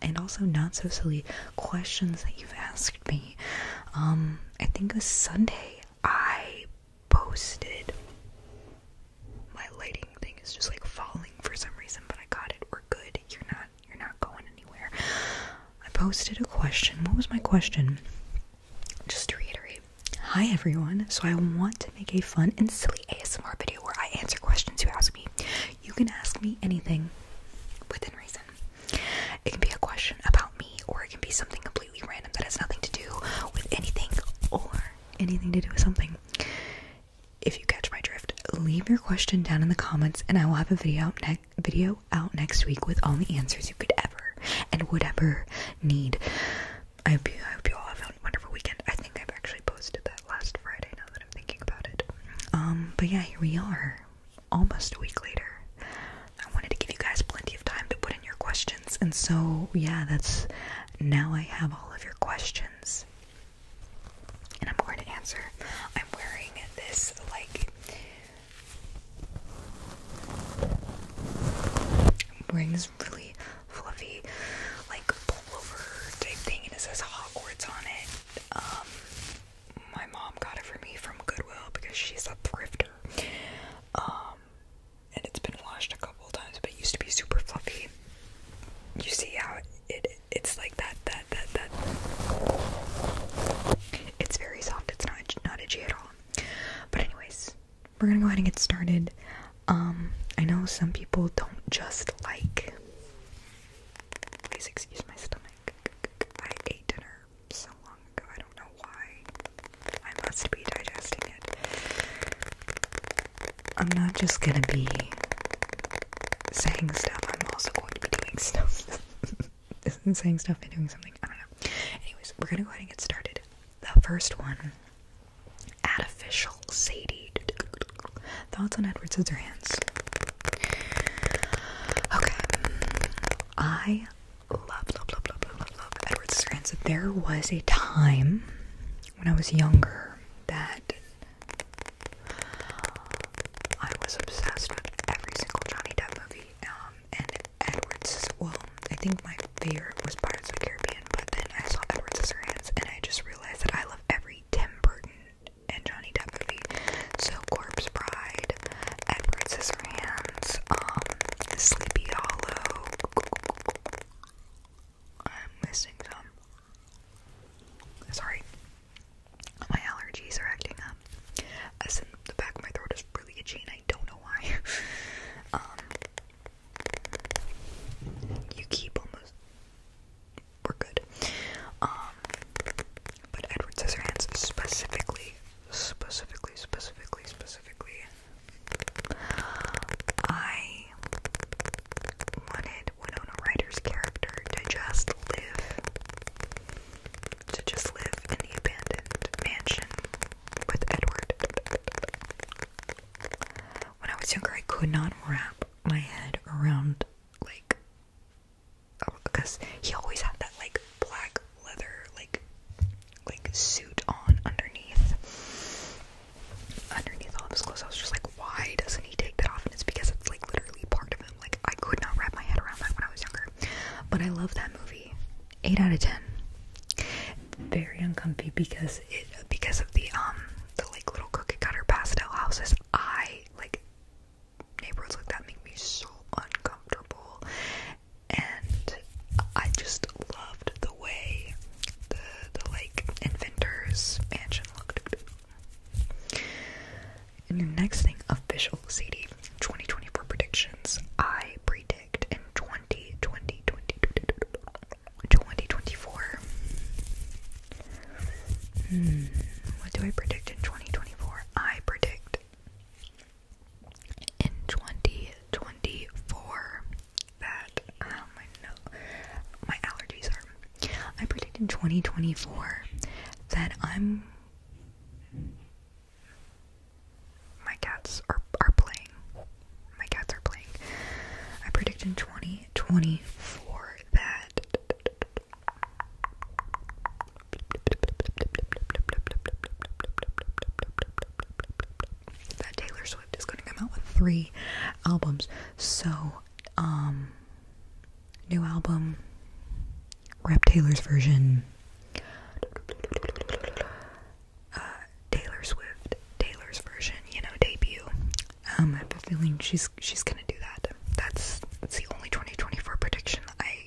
and also not so silly questions that you've asked me. Um, I think a Sunday I posted. My lighting thing is just like falling for some reason, but I got it. We're good. You're not. You're not going anywhere. I posted a question. What was my question? Just to reiterate. Hi everyone. So I want to make a fun and silly ASMR video where I answer questions you ask me. You can ask me anything within reason. It can be a question about me, or it can be something completely random that has nothing to do with anything or anything to do with something. If you catch my drift, leave your question down in the comments, and I will have a video out, ne video out next week with all the answers you could ever and would ever need. I hope you, I hope you all have a wonderful weekend. I think I've actually posted that last Friday now that I'm thinking about it. Um, but yeah, here we are almost a week later. I wanted to give you guys plenty of time to put in your questions, and so yeah, that's now I have all of your questions, and I'm going to answer. I'm wearing this like i wearing this really fluffy like pullover type thing, and it says hot words on it. Um, my mom got it for me from Goodwill because she's a thrifter. Um, and it's been washed a couple times, but it used to be super fluffy. You see how it, it's like that that that that. It's very soft. It's not not itchy at all. But anyways, we're gonna go ahead and get started. Um, I know some people don't just like. Please excuse my stomach. I ate dinner so long ago, I don't know why. I must be digesting it. I'm not just gonna be saying stuff, I'm also going to be doing stuff. Isn't saying stuff and doing something, I don't know. Anyways, we're gonna go ahead and get started. The first one Ad official Sadie. Thoughts on Edward Scissorhands? Okay. I love, love, love, love, love, Edward Strands. There was a time when I was younger that I was obsessed with every single Johnny Depp movie. Um, and Edward's, well, I think my favorite was Pirates of the Caribbean, but then I saw Edward Scissorhands and I just realized that I love every Tim Burton and Johnny Depp movie. So Corpse Bride, Edward Scissorhands, um, Sleepy Hollow. I'm missing some. Sorry, my allergies are acting up. As in the back of my throat is really itchy, and I don't know why. um, you keep almost. We're good. Um, but Edward says her hands specifically, specifically, specifically, specifically, I wanted Winona Ryder's character to just live, to just live in the abandoned mansion with Edward. When I was younger, I could not wrap my head around, like, Oh, because he always had that like black leather like like suit on underneath underneath all his clothes. I was just like, why doesn't he take that off? And it's because it's like literally part of him. Like I could not wrap my head around that when I was younger. But I love that movie. Eight out of ten. Very uncomfortable because it because of the um the like little cookie cutter pastel houses. I like neighbors like that make me so uncomfortable. And I just loved the way the the like inventor's mansion looked. And your next thing, official CD 2024 predictions. I predict in 2020, 2024. Hmm, what do I predict in 2024? I predict in 2024 that um I know my allergies are I predict in 2024 that I'm my cats are are playing. My cats are playing. I predict in 2024 that that Taylor Swift is going to come out with three albums. So, um, new album, Rap Taylor's version, uh, Taylor Swift, Taylor's version, you know, debut. Um, I have a feeling she's she's gonna do that. That's that's the only 2024 prediction I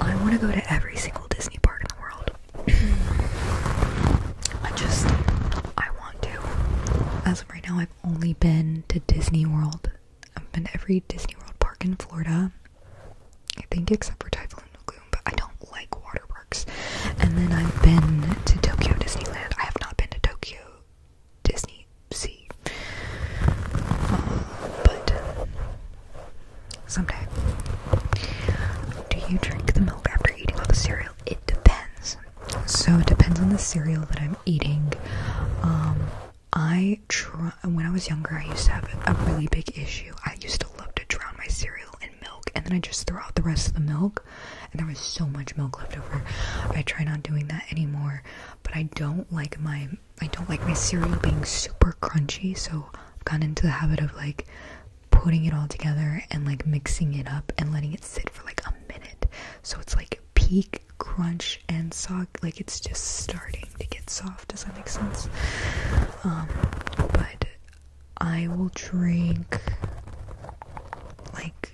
I want to go to every single Disney park in the world. I just, I want to. As of right now, I've only been to Disney World. I've been to every Disney World park in Florida, I think, except for Typhoon Lagoon, but I don't like water parks. And then I've been to Tokyo Disneyland. I have not been to Tokyo Disney See, Um, but someday. Do you drink the milk after eating all the cereal? It depends. So it depends on the cereal that I'm eating. Um, I try when I was younger, I used to have a really big issue. I used to love to drown my cereal in milk, and then I just throw out the rest of the milk, and there was so much milk left over. I try not doing that anymore, but I don't like my I don't like my cereal being super crunchy, so I've gotten into the habit of like putting it all together and like mixing it up and letting it sit for like a minute. So it's like peak crunch and soft, like it's just starting to get soft. Does that make sense? Um, but I will drink like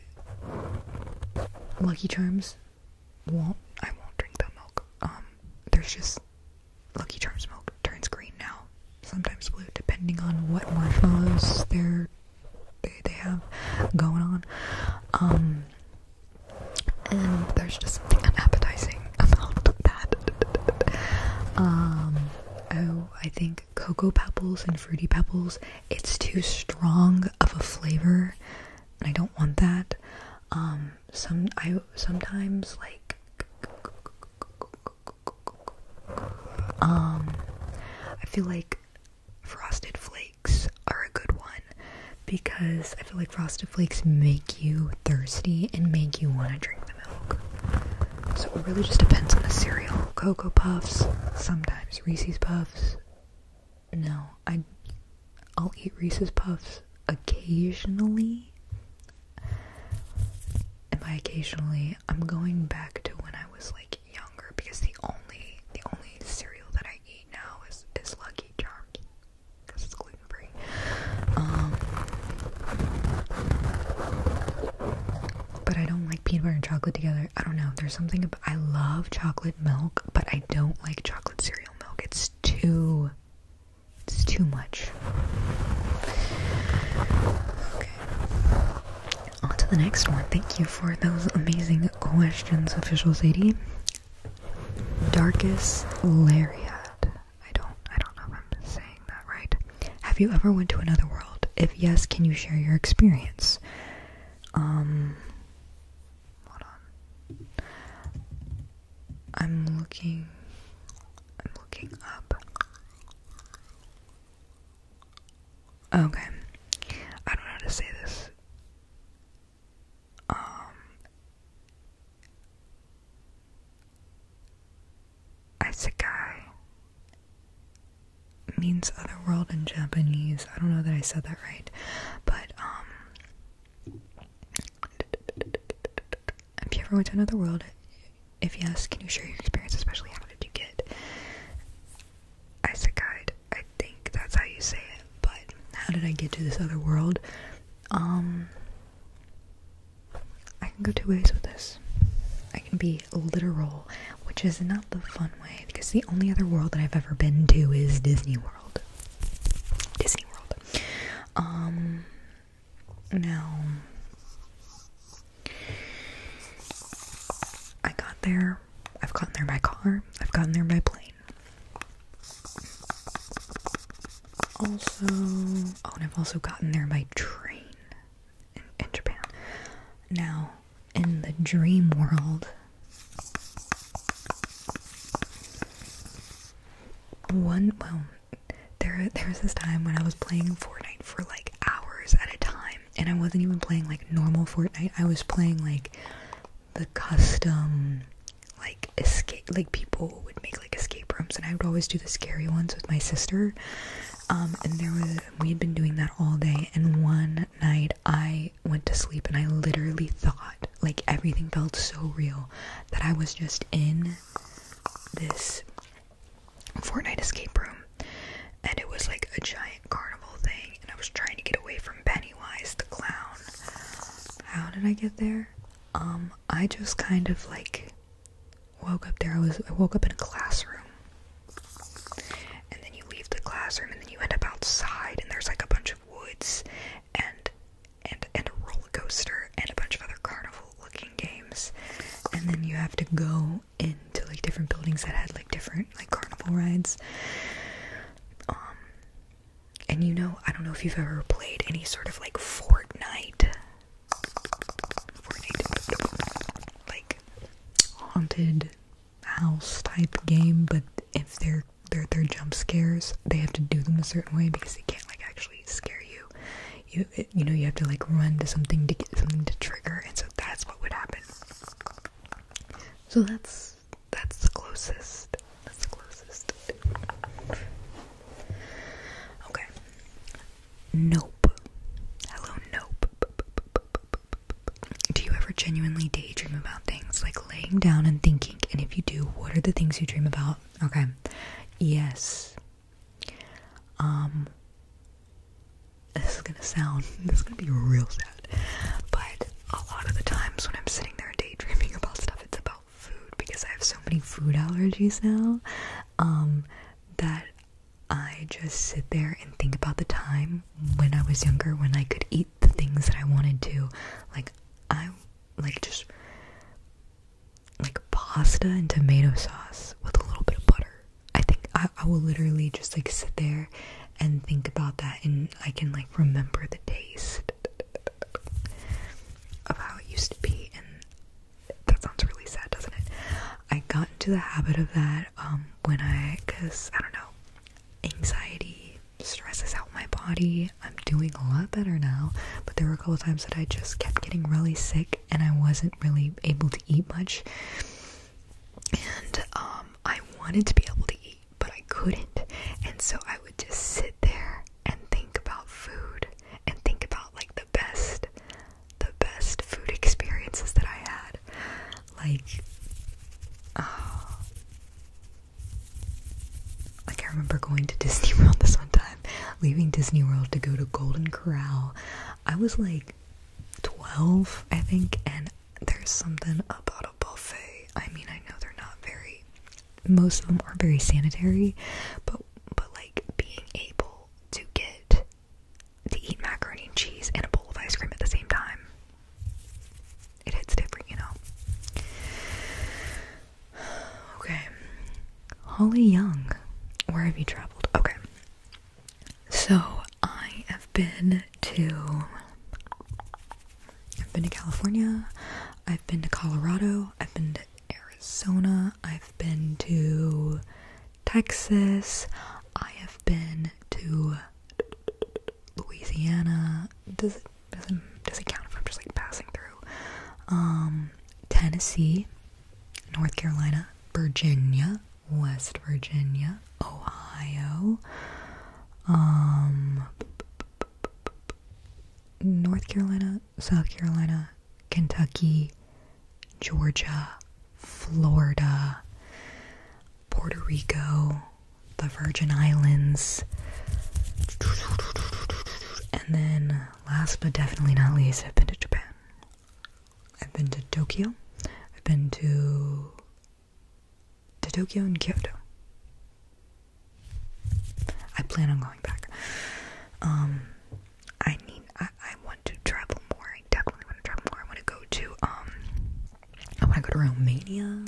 Lucky Charms won't I won't drink the milk. Um, there's just Lucky Charms milk turns green now, sometimes blue, depending on what marshmallows they're they they have going on. Um, and there's just something unappetizing about that. um, oh, I think cocoa pebbles and fruity pebbles. It's too strong of a flavor I don't want that. Um, some I sometimes like um, I feel like frosted flakes are a good one because I feel like frosted flakes make you thirsty and make you want to drink the milk. So it really just depends on the cereal. Cocoa puffs, sometimes Reese's puffs, no, I I'll eat Reese's Puffs occasionally. And I occasionally, I'm going back to when I was like younger because the only the only cereal that I eat now is is Lucky Charms because it's gluten free. Um, but I don't like peanut butter and chocolate together. I don't know. There's something I love chocolate milk, but I don't like chocolate cereal milk. It's it's too it's too much. Okay. On to the next one. Thank you for those amazing questions, official Sadie. Darkest Lariat. I don't I don't know if I'm saying that right. Have you ever went to another world? If yes, can you share your experience? Um Hold on. I'm looking. I'm looking up. Okay. I don't know how to say this. Um. Isekai means other world in Japanese. I don't know that I said that right, but um, have you ever went to another world? If yes, can you share your experience, especially how did you get isekai'd? I think that's how you say it, but how did I get to this other world? Um, I can go two ways with this. I can be literal, which is not the fun way, because the only other world that I've ever been to is Disney World. Disney World. Um, now I got there. I've gotten there by car. I've gotten there by plane. Also, oh, and I've also gotten there by train in Japan. Now, in the dream world, one well, there there was this time when I was playing Fortnite for like hours at a time, and I wasn't even playing like normal Fortnite. I was playing like the custom like escape like people would make like escape rooms and I would always do the scary ones with my sister um and there was we had been doing that all day and one night I went to sleep and I literally thought like everything felt so real that I was just in this Fortnite escape room and it was like a giant carnival thing and I was trying to get away from Pennywise the clown. How did I get there? Um I just kind of like woke up there. I was I woke up in a classroom. And then you leave the classroom and then you end up outside and there's like a bunch of woods and and and a roller coaster and a bunch of other carnival looking games. And then you have to go into like different buildings that had like different like carnival rides. Um and you know, I don't know if you've ever played any sort of like Fortnite Fortnite like haunted house type game, but if they're their their jump scares they have to do them a certain way because they can't like actually scare you. You you know you have to like run to something to get something to trigger, and so that's what would happen. So that's that's the closest. That's the closest. Okay. Nope. Hello, nope. Do you ever genuinely daydream about things like laying down and thinking? And if you do, what are the things you dream about? Okay. Yes. Um this is gonna sound this is gonna be real sad. But a lot of the times when I'm sitting there daydreaming about stuff, it's about food because I have so many food allergies now. Um that I just sit there and think about the time when I was younger when I could eat the things that I wanted to. Like I like just like pasta and tomato sauce with a little bit of butter. I think I, I will literally just like sit there and think about that and I can like remember the taste of how it used to be and that sounds really sad, doesn't it? I got into the habit of that um when I cuz I don't know, anxiety stresses out my body I'm doing a lot better now, but there were a couple times that I just kept getting really sick and I wasn't really able to eat much. And um, I wanted to be able to eat, but I couldn't. And so I would just sit there and think about food and think about like the best, the best food experiences that I had. Like, uh, like, I remember going to Disney World this one time, leaving Disney World to go to Golden Corral. I was like 12, I think, and there's something about a buffet. I mean, I know they're not very, most of them aren't very sanitary, but but like being able to get to eat macaroni and cheese and a bowl of ice cream at the same time, it hits different, you know. Okay. Holly Young. Where have you traveled? Okay. So I have been to I've been to California, I've been to Colorado, I've been to Arizona, I've been to Texas, I have been to Louisiana. Does doesn't doesn't count if I'm just like passing through. Um, Tennessee, North Carolina, Virginia, West Virginia, Ohio, um, North Carolina, South Carolina, Kentucky, Georgia, Florida, Puerto Rico, Virgin Islands. And then, last but definitely not least, I've been to Japan. I've been to Tokyo. I've been to to Tokyo and Kyoto. I plan on going back. Um, I need. I, I want to travel more. I definitely want to travel more. I want to go to. Um, I want to go to Romania.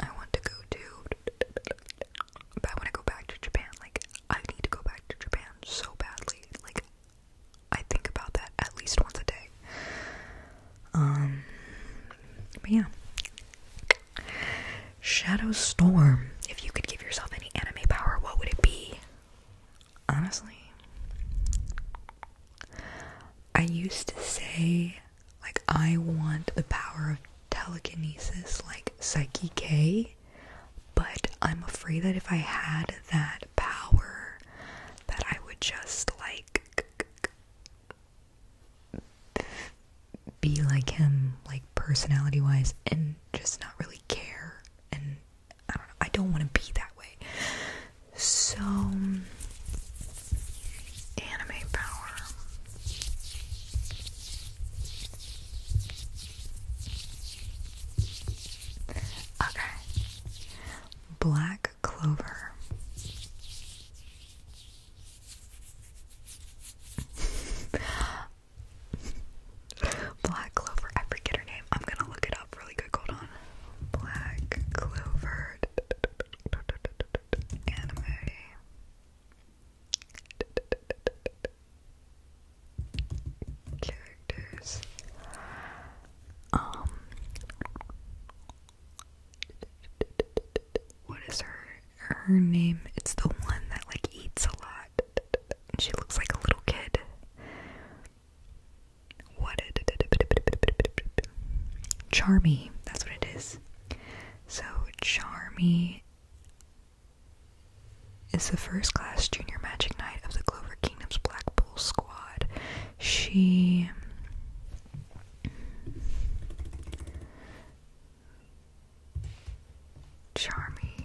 I want to go to, I want to go back to Japan. Like, I need to go back to Japan so badly. Like, I think about that at least once a day. Um, but yeah. Shadow Storm. If you could give yourself any anime power, what would it be? Honestly, I used to say like, I want the power of telekinesis, like Psyche K, but I'm afraid that if I had that power, that I would just, like, be like him, like, personality wise, and just not really care. And I don't I don't want to be that way. So, Anime power. Okay. Black Clover. Black Clover, I forget her name. I'm gonna look it up really quick. Hold on. Black Clover anime characters. Um, what is her her name? It's the one that like eats a lot. She looks like a little kid. What? Charmy. That's what it is. So Charmy is the first class junior magic knight of the Clover Kingdom's Black Bull squad. She Charmy.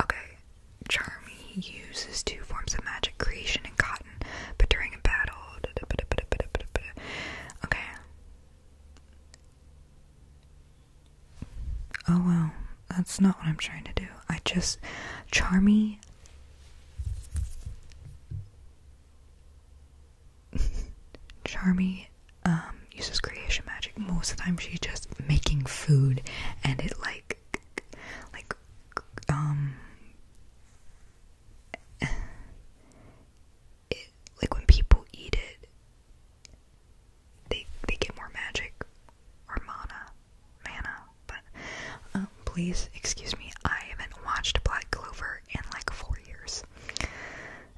Okay, Charmy uses two forms of magic creation and cotton, but during a battle, Okay. Oh well, that's not what I'm trying to do. I just. Charmy. Charmy um, uses creation magic. Most of the time, she's just making food and it like. Like, um, like when people eat it they they get more magic or mana mana but um, please excuse me I haven't watched Black Clover in like four years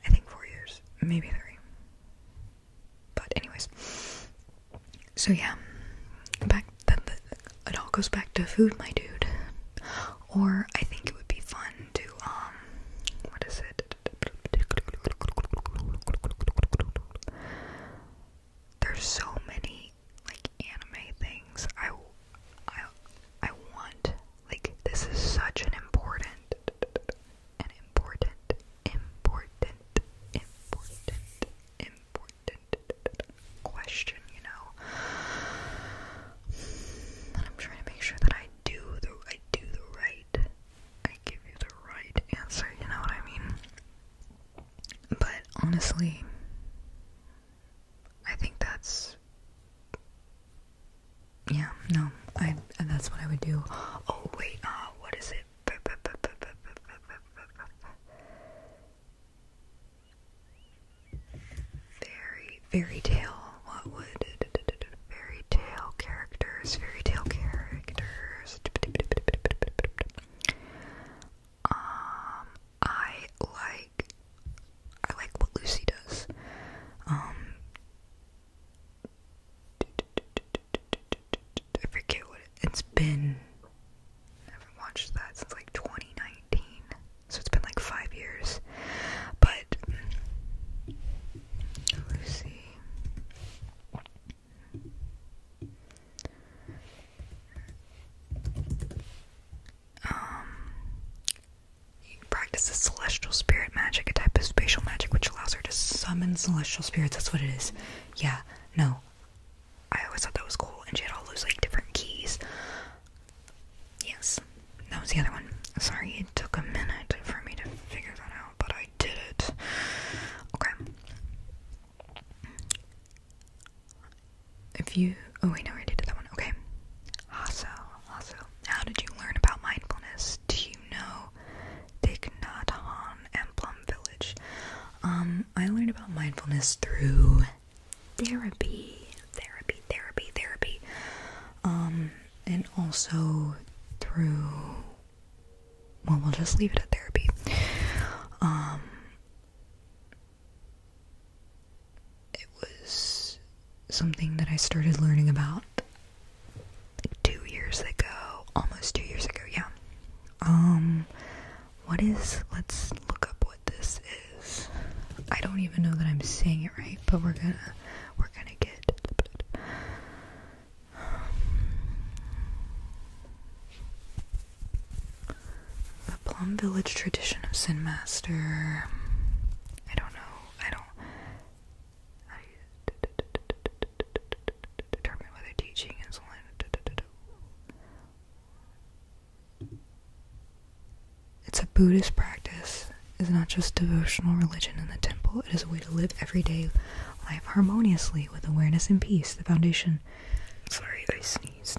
I think four years maybe three but anyways so yeah back then it all goes back to food my dude or I think it would be fun to um what is it? There's so many like anime things. I I I want like this is such an important an important important important important question, you know. I'm trying to make sure that I do the I do the right I give you the right answer, you know what I mean? But honestly, I think that's yeah, no, I that's what I would do. Oh wait, uh, what is it? Fairy, fairy tale. What would fairy characters? Fairy tale characters. Um, I like, I like what Lucy does. Um, I forget what it, has been. I haven't watched that since like 2019 so it's been like five years. But Lucy, um, practices celestial spirit magic, a type of spatial magic which allows her to summon celestial spirits. That's what it is. Yeah. No. I always thought that was cool, and she had all those like different keys. Yes, that was the other one. Sorry, it took a minute for me to figure that out, but I did it. Okay. If you. Oh, wait, no, I did that one. Okay. Also, also, how did you learn about mindfulness? Do you know Thich Nhat Hanh and Plum Village? Um, I learned about mindfulness through therapy, therapy, therapy, therapy, um, and also through. Well, we'll just leave it at therapy. Um, it was something that I started learning about like two years ago, almost two years ago, yeah. Um, what is, let's look up what this is. I don't even know that I'm saying it right, but we're gonna we're gonna get the Plum Village tradition of Sin Master. I don't know. I don't. determine whether teaching is it's a Buddhist practice. It's not just devotional religion in the temple. It is a way to live everyday life harmoniously with awareness and peace. The foundation. Sorry, I sneezed.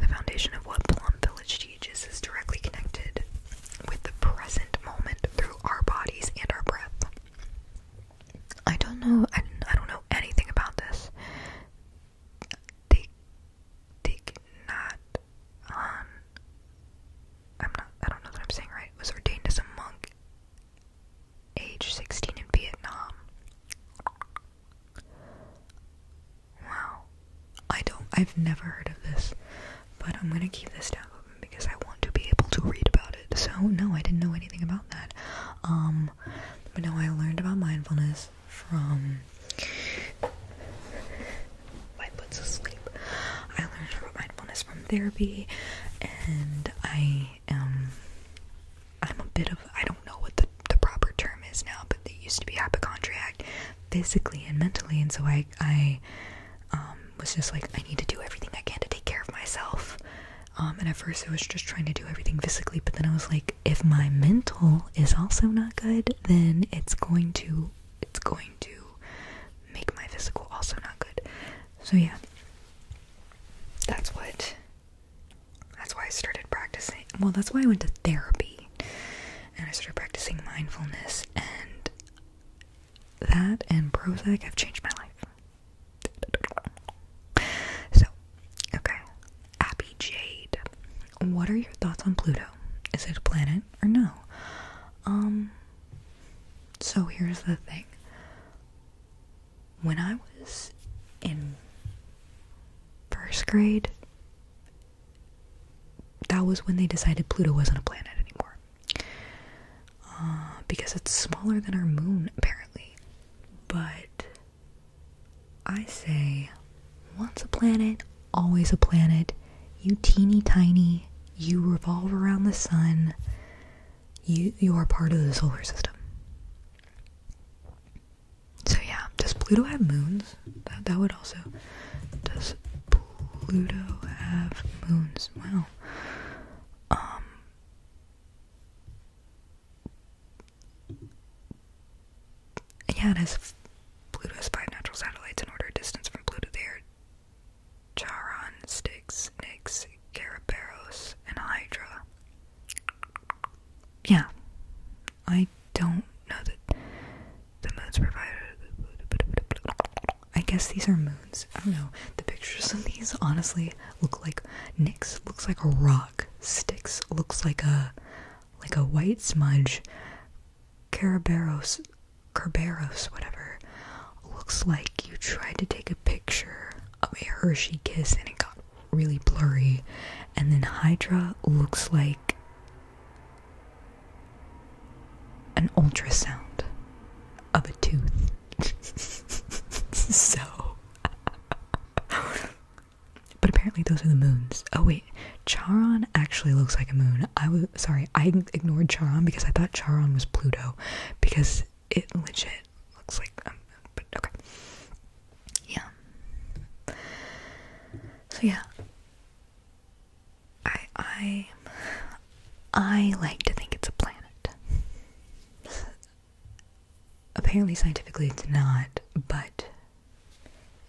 The foundation of what Plum Village teaches is directly connected with the present moment through our bodies and our breath. I don't know. I, don't know anything about this. Take, take not on. I'm not. I don't know that I'm saying right. Was ordained as a monk, age 16 in Vietnam. Wow. I don't. I've never heard of this, but I'm gonna keep this down because I want to be able to read about it. So no, I didn't know anything about that. Um, but now I learned about mindfulness from my puts to I learned about mindfulness from therapy, and I am I'm a bit of I don't know what the, proper term is now, but it used to be hypochondriac physically and mentally, and so I I um, was just like I need to do everything I can to take care of myself. Um, and at first, I was just trying to do everything physically, but then I was like, if my mental is also not good, then it's going to it's going to make my physical also not good. So yeah. That's what that's why I started practicing. Well, that's why I went to therapy. And I started practicing mindfulness and that and Prozac have changed my life. So, okay. Abby Jade. What are your thoughts on Pluto? Is it a planet or no? Um so here's the thing. When I was in first grade, that was when they decided Pluto wasn't a planet anymore. Uh, because it's smaller than our moon, apparently. But I say, once a planet, always a planet. You teeny tiny, you revolve around the sun. You you are part of the solar system. So yeah, does Pluto have moons? That that would also does Pluto have moons? Well. Um, yeah, it has Pluto's five natural satellites in order distance from Pluto. They are Charon, Styx, Nix, Garibaldi, and Hydra. Yeah, I don't know that the moons provided. I guess these are moons. I don't know. The pictures of these honestly look like Nix looks like a rock. Styx looks like a like a white smudge. Caraberos, Kerberos, whatever, looks like you tried to take a picture of a Hershey kiss and it got really blurry. And then Hydra looks like an ultrasound of a tooth. so but apparently those are the moons. Oh wait, Charon actually looks like a moon. I was sorry, I ignored Charon because I thought Charon was Pluto because it legit looks like um, but okay. Yeah. So yeah. I I I like to think it's a planet. Apparently scientifically it's not, but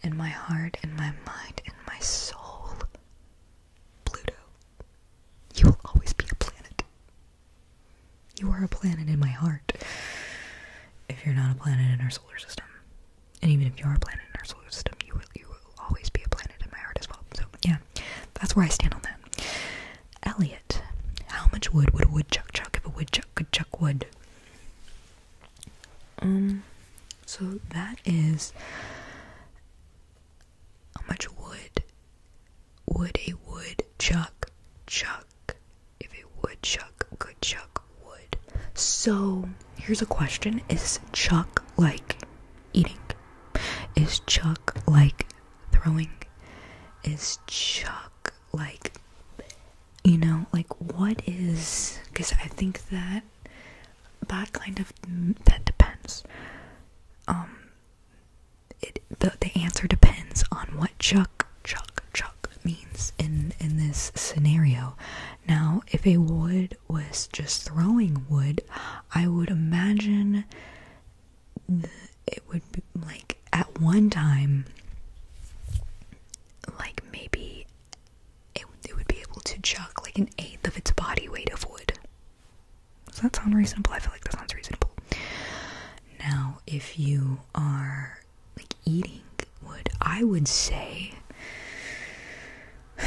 in my heart, in my mind, in my soul. Pluto, you will always be a planet. You are a planet in my heart. If you're not a planet in our solar system, and even if you are a planet in our solar system, you will, you will always be a planet in my heart as well. So, yeah, that's where I stand on that. Elliot, how much wood would a woodchuck chuck if a woodchuck could chuck wood? Um, so that is how much wood would a woodchuck chuck if a woodchuck could chuck wood? So here's a question: Is chuck like eating? Is chuck like throwing? Is chuck like you know, like what is because I think that that kind of mm, that depends. Um, it the the answer depends on what chuck chuck chuck means in in this scenario. Now, if a wood was just throwing wood, I would imagine the, it would be like at one time, like maybe it, it would be able to chuck like an eighth of its body weight of wood. Does that sound reasonable? I feel like that sounds reasonable. Now, if you are like eating wood, I would say,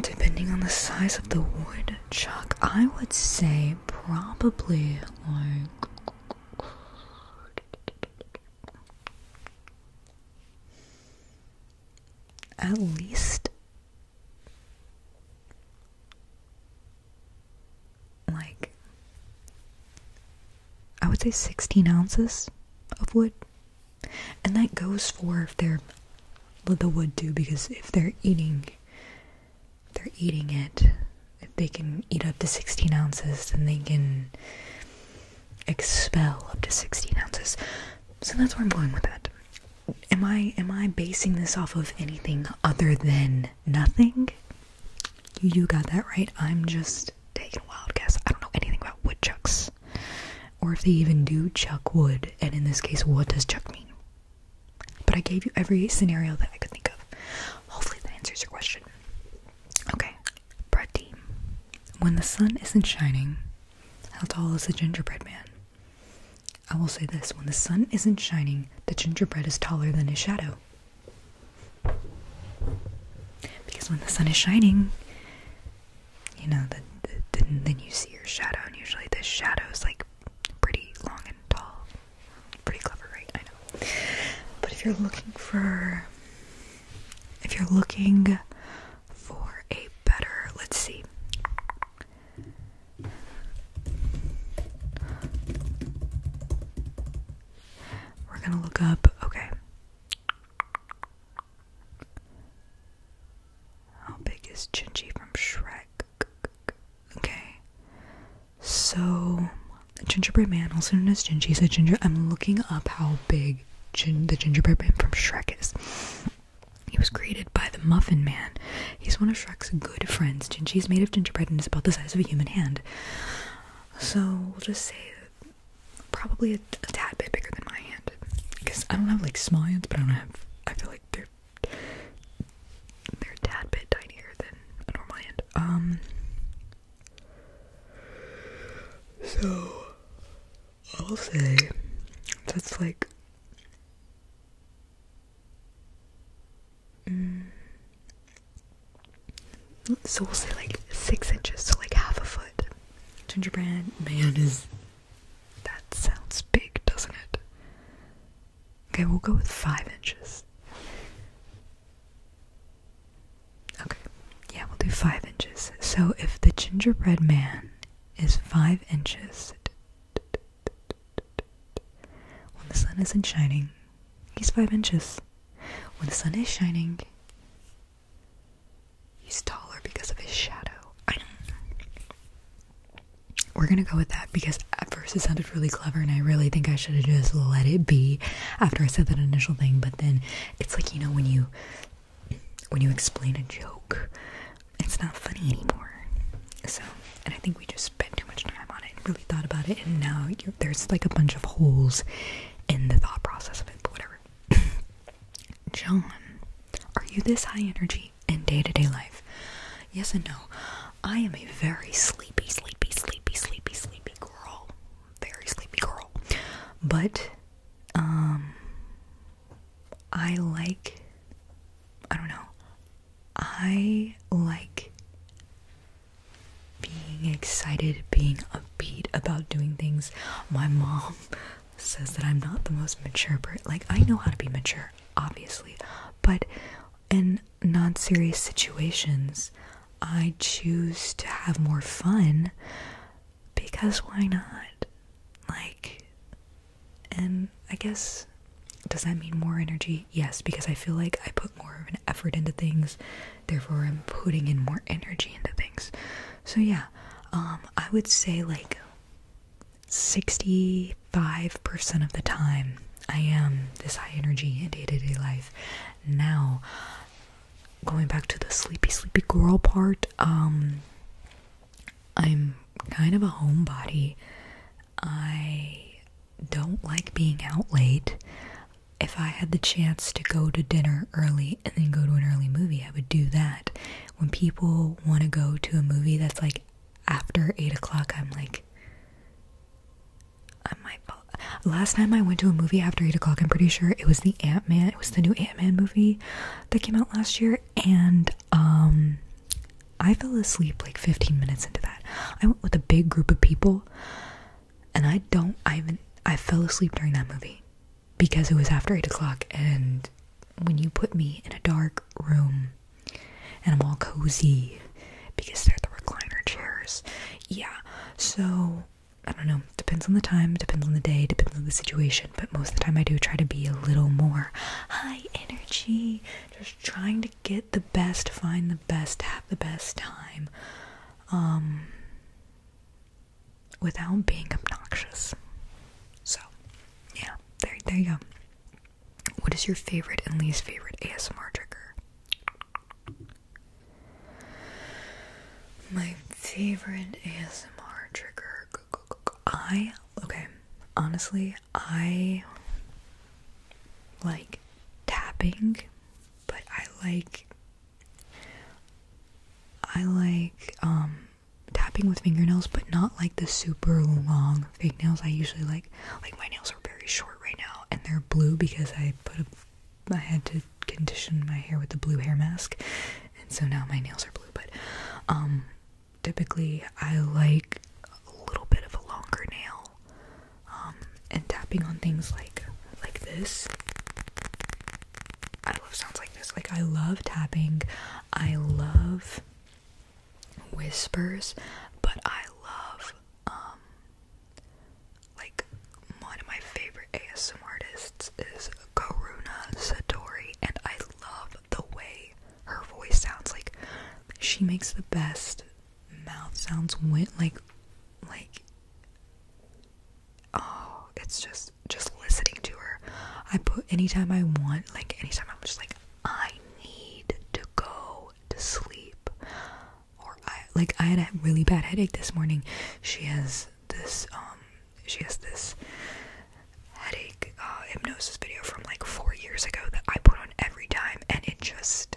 depending on the size of the wood chuck, I would say probably like. At least like I would say 16 ounces of wood. And that goes for if they're the wood too, because if they're eating they're eating it, if they can eat up to 16 ounces, then they can expel up to 16 ounces. So that's where I'm going with that. Am I am I basing this off of anything other than nothing? You, got that right. I'm just taking a wild guess. I don't know anything about woodchucks. Or if they even do chuck wood, and in this case, what does chuck mean? But I gave you every scenario that I could think of. Hopefully that answers your question. Okay, bread when the sun isn't shining, how tall is the gingerbread man? I will say this when the sun isn't shining, the gingerbread is taller than his shadow. Because when the sun is shining, you know, then then you see your shadow, and usually the shadow is like pretty long and tall. Pretty clever, right? I know. But if you're looking for, if you're looking for a better, let's see. We're going to look up, okay. How big is Gingy from Shrek? Okay. So, Gingerbread Man, also known as Gingy, so Ginger, I'm looking up how big the gingerbread man from Shrek is. He was created by the Muffin Man. He's one of Shrek's good friends. Gingy's made of gingerbread and is about the size of a human hand. So we'll just say probably a, tad bit bigger than my hand. Because I don't have like small hands, but I don't have I feel like they're they're a tad bit tinier than a normal hand. Um so I'll say that's like mm. so we'll say like six inches, to like half a foot. Gingerbread man is that sounds big, doesn't it? Okay, we'll go with five inches. Okay. Yeah, we'll do five inches. So if the gingerbread man is five inches when the sun isn't shining, he's five inches. When the sun is shining, he's taller because of his shadow. I know. We're gonna go with that because at first it sounded really clever and I really think I should have just let it be after I said that initial thing, but then it's like, you know, when you when you explain a joke, it's not funny anymore. So, and I think we just spent too much time on it and really thought about it, and now there's like a bunch of holes in the thought process of it, but whatever. John, are you this high energy in day to day life? Yes and no. I am a very sleepy, sleepy, sleepy, sleepy, sleepy girl. Very sleepy girl. But um, I like, I don't know, I like being excited, being upbeat about doing things. My mom says that I'm not the most mature person. Like, I know how to be mature, obviously, but in non serious situations, I choose to have more fun because why not? Like, and I guess, does that mean more energy? Yes, because I feel like I put more of an effort into things, therefore I'm putting in more energy into things. So yeah, um, I would say like 65% of the time I am this high energy in day to day life. Now, going back to the sleepy sleepy girl part um, i'm kind of a homebody i don't like being out late if i had the chance to go to dinner early and then go to an early movie i would do that when people want to go to a movie that's like after eight o'clock i'm like I might Last time I went to a movie after eight o'clock, I'm pretty sure it was the Ant Man. It was the new Ant Man movie that came out last year, and um, I fell asleep like 15 minutes into that. I went with a big group of people, and I don't, I even, I fell asleep during that movie because it was after 8 o'clock, and when you put me in a dark room and I'm all cozy because they're the recliner chairs, yeah, so. I don't know depends on the time, depends on the day, depends on the situation, but most of the time I do try to be a little more high energy, just trying to get the best, find the best, have the best time. Um without being obnoxious. So, yeah, there there you go. What is your favorite and least favorite ASMR trigger? my favorite ASMR trigger. I okay, honestly, I like tapping, but I like I like um tapping with fingernails, but not like the super long fingernails. I usually like like my nails are very short right now, and they're blue because I put a I had to condition my hair with the blue hair mask, and so now my nails are blue but um, typically I like a little bit of a longer nail um, and tapping on things like like this I love sounds like this like I love tapping I love whispers but I love um, like one of my favorite ASM artists is Karuna Satori, and I love the way her voice sounds. Like she makes the best mouth sounds with like like oh, it's just just listening to her. I put anytime I want, like anytime I'm just like I need to go to sleep. Or I like I had a really bad headache this morning. She has this um she has this headache uh, hypnosis video from like four years ago that I put on every time, and it just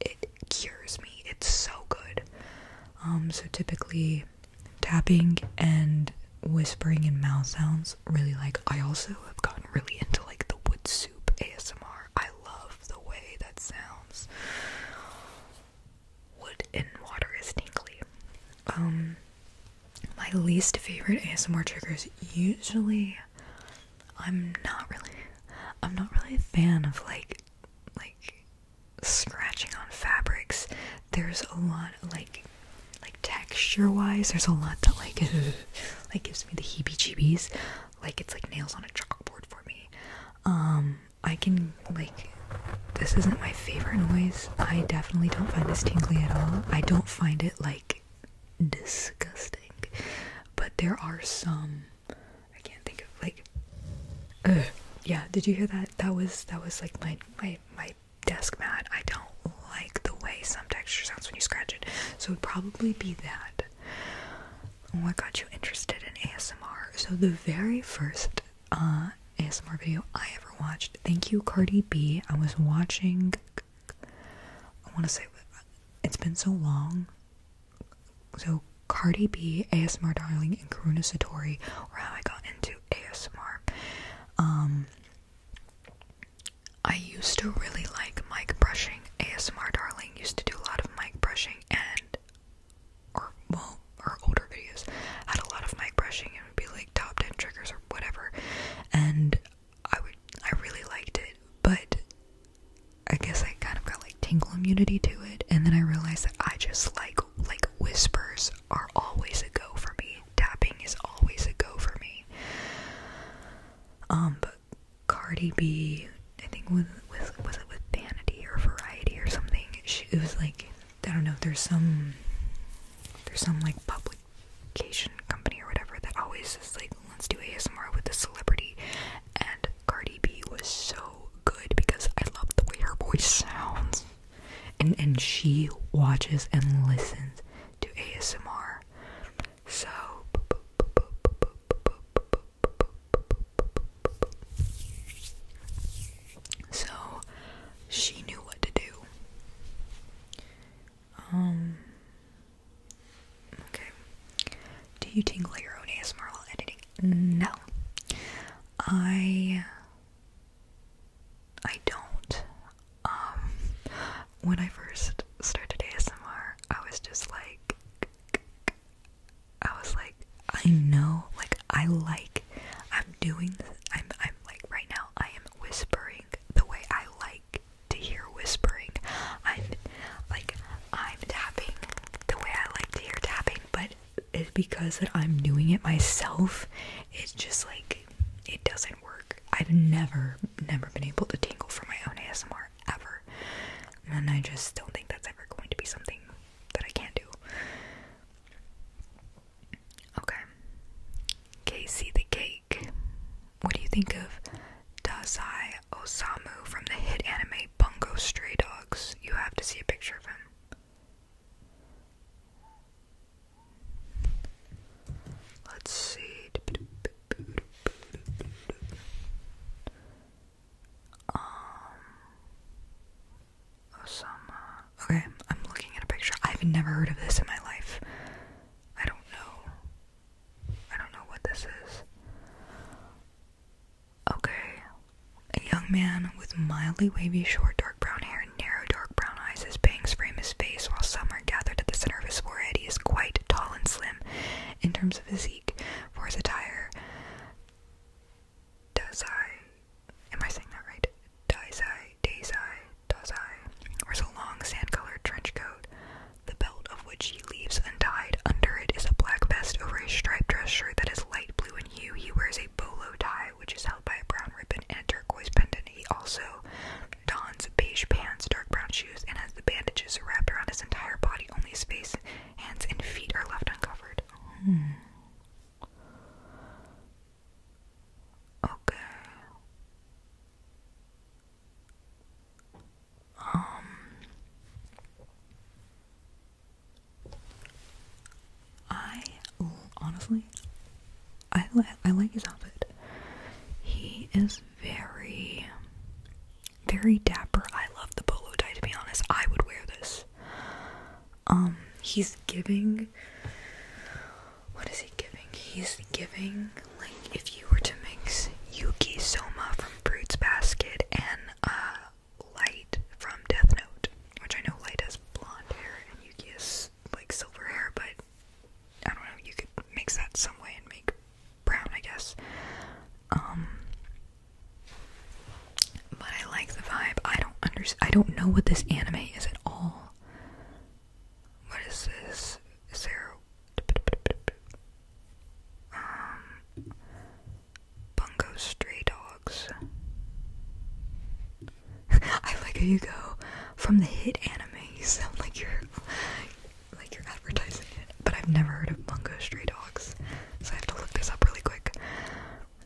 it cures me. It's so good. Um, so typically, tapping and whispering and mouth sounds really like. I also have gotten really into like the wood soup ASMR. I love the way that sounds. Wood and water is tinkly. Um, my least favorite ASMR triggers usually I'm not really I'm not really a fan of like like scratching on fabrics. There's a lot like like texture wise there's a lot that like like gives me the heebie jeebies. Like it's like nails on a chalkboard for me. Um I can like this isn't my favorite noise. I definitely don't find this tingly at all. I don't find it like disgusting. But there are some I can't think of like yeah, did you hear that? That was that was like my my my desk mat. I don't like the way some texture sounds when you scratch it. So it'd probably be that. What got you interested in ASMR? So the very first uh, ASMR video I ever watched. Thank you, Cardi B. I was watching. I want to say it's been so long. So Cardi B, ASMR Darling, and Karuna Satori were how I got into ASMR. Um, I used to really like mic brushing. ASMR Darling used to do a lot of mic brushing and, or well, her older videos had a lot of mic brushing would be like top 10 triggers or whatever and I would I really liked it but I guess I kind of got like tingle immunity to it and then I realized that I just like like whispers are always a go for me tapping is always a go for me um but Cardi B I think was was was it with Vanity or Variety or something it was like I don't know, there's some there's some like publication company or whatever that always is like, let's do ASMR with a celebrity and Cardi B was so good because I love the way her voice sounds. And and she watches and listens to ASMR. So so she knew what to do. Um, okay. Do you tingle your own ASMR while editing? No. I. I don't. Um, when I first started ASMR, I was just like. I was like, I know, like I like, I'm doing, this, I'm, I'm like right now I am whispering the way I like to hear whispering. I'm like I'm tapping the way I like to hear tapping, but because that I'm doing it myself. It's just like it doesn't work. I've never, never been able to tingle for my own ASMR ever, and I just don't think that's ever going to be something that I can do. Okay. Casey the Cake. What do you think of Dazai Osamu from the hit anime Bungo Stray Dogs? You have to see a picture of him. Let's see. Um, some, okay, I'm looking at a picture. I've never heard of this in my life. I don't know. I don't know what this is. Okay. A young man with mildly wavy, short, dark brown hair and narrow, dark brown eyes. His bangs frame his face, while some are gathered at the center of his forehead. He is quite tall and slim in terms of physique. For his attire, does I am I saying that right? Dazai, Dazai, Dazai wears a long sand-colored trench coat, the belt of which he leaves untied. Under it is a black vest over a striped dress shirt that is light blue in hue. He wears a bolo tie, which is held by a brown ribbon and a turquoise pendant. He also dons beige pants, dark brown shoes, and has the bandages wrapped around his entire body. Only his face, hands, and feet are left uncovered. Hmm. Okay. Um I honestly I li I like his outfit. He is very very dapper. I love the polo tie to be honest. I would wear this. Um he's giving what is he giving? He's giving like if you were to mix Yuki Soma from Fruits Basket and uh Light from Death Note, which I know Light has blonde hair and Yuki is like silver hair, but I don't know, you could mix that some way and make brown, I guess. Um but I like the vibe. I don't under I don't know what this anime is at all. What is this? Is there um Bungo Stray Dogs? I like how you go from the hit anime. You sound like you're like you're advertising it, but I've never heard of Bungo Stray Dogs, so I have to look this up really quick.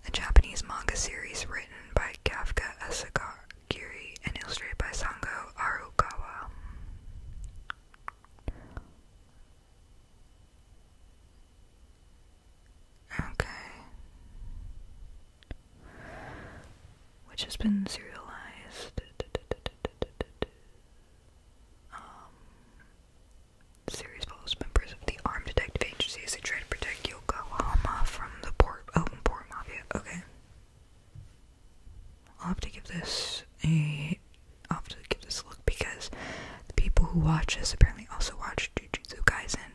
A Japanese manga series written by Kafka Asakar Giri, and illustrated by Sango Arukawa. Okay. Which has been serialized. Um, series follows members of the armed detective agency as they try to protect Yokohama from the port open port mafia. Okay. I'll have to give this a I'll have to give this a look because the people who watch us apparently also watch Jujutsu Kaisen,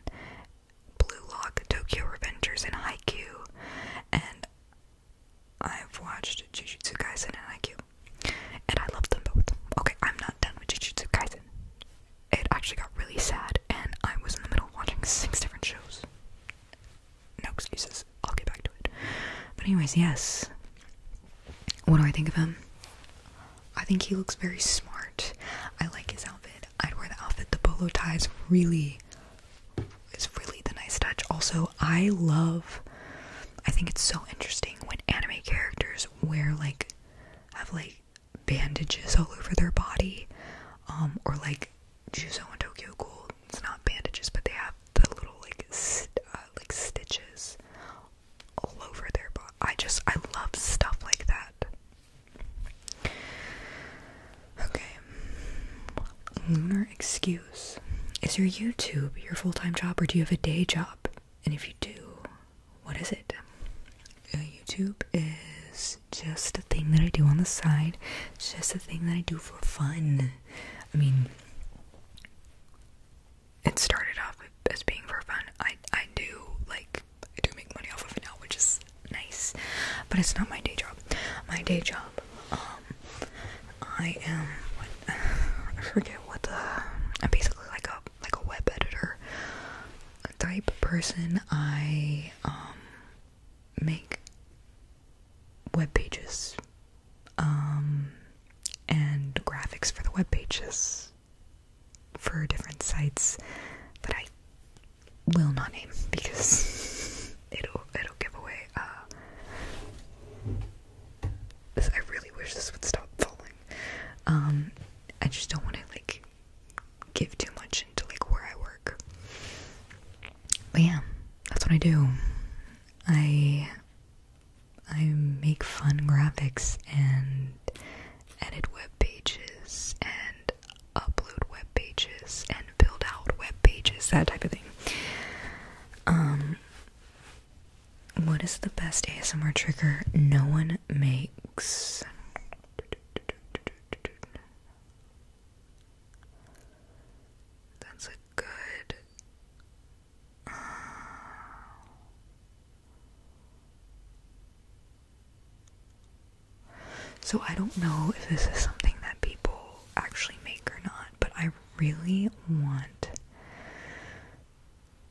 Blue Lock, Tokyo Revengers, and Haikyu. And I've watched Jujutsu Kaisen and Haikyu, And I love them both. Okay, I'm not done with Jujutsu Kaisen. It actually got really sad and I was in the middle of watching six different shows no excuses. I'll get back to it. But anyways, yes. What do I think of him? I think he looks very smart. I like his outfit. I'd wear the outfit. The polo tie is really is really the nice touch. Also, I love I think it's so interesting when anime characters wear like have like bandages all over their body um or like Juzo and Tokyo Ghoul, it's not bandages, but they have the little like uh, like stitches all over their But I just I love stuff like that. Okay, lunar excuse. Is your YouTube your full-time job, or do you have a day job? And if you do, what is it? Uh, YouTube is just a thing that I do on the side. just a thing that I do for fun. I mean, it started off as being for fun. I I do like I do make money off of it now, which is nice. But it's not my day job. My day job, um, I am I forget what the I'm basically like a like a web editor type person. I um make web pages um, and graphics for the web pages for different sites that I will not name because it'll it'll give away. Uh, I really wish this would stop falling. Um, I just don't want to like give too much into like where I work. But yeah, that's what I do. I I make fun graphics and edit web pages and upload web pages and build out web pages, that type of thing. Um what is the best ASMR trigger no one makes? That's a good. Uh, so, I don't know if this is something that people actually make or not, but I really want.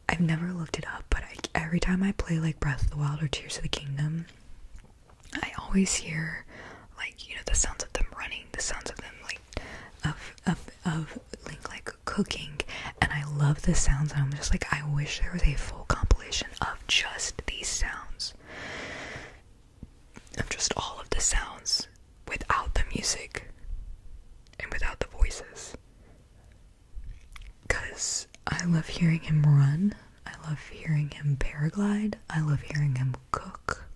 I've never looked it up, but every time I play like Breath of the Wild or Tears of the Kingdom, I always hear like you know the sounds of them running, the sounds of them like of of of like like cooking, and I love the sounds. And I'm just like I wish there was a full compilation of just these sounds, of just all of the sounds without the music and without the voices. Cause I love hearing him run. I love hearing him paraglide. I love hearing him cook.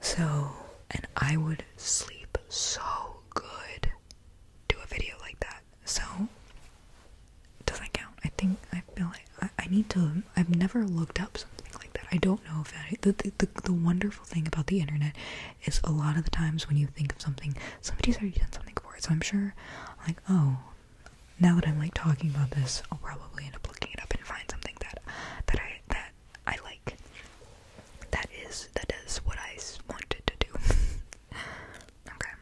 So, and I would sleep so good do a video like that. So, doesn't count. I think I feel like I, need to. I've never looked up something like that. I don't know if that. the, the wonderful thing about the internet is a lot of the times when you think of something, somebody's already done something for it. So I'm sure, like, oh, now that I'm like talking about this, I'll probably end up looking it up and find something that that I that I like. That is that is what I wanted to do. okay,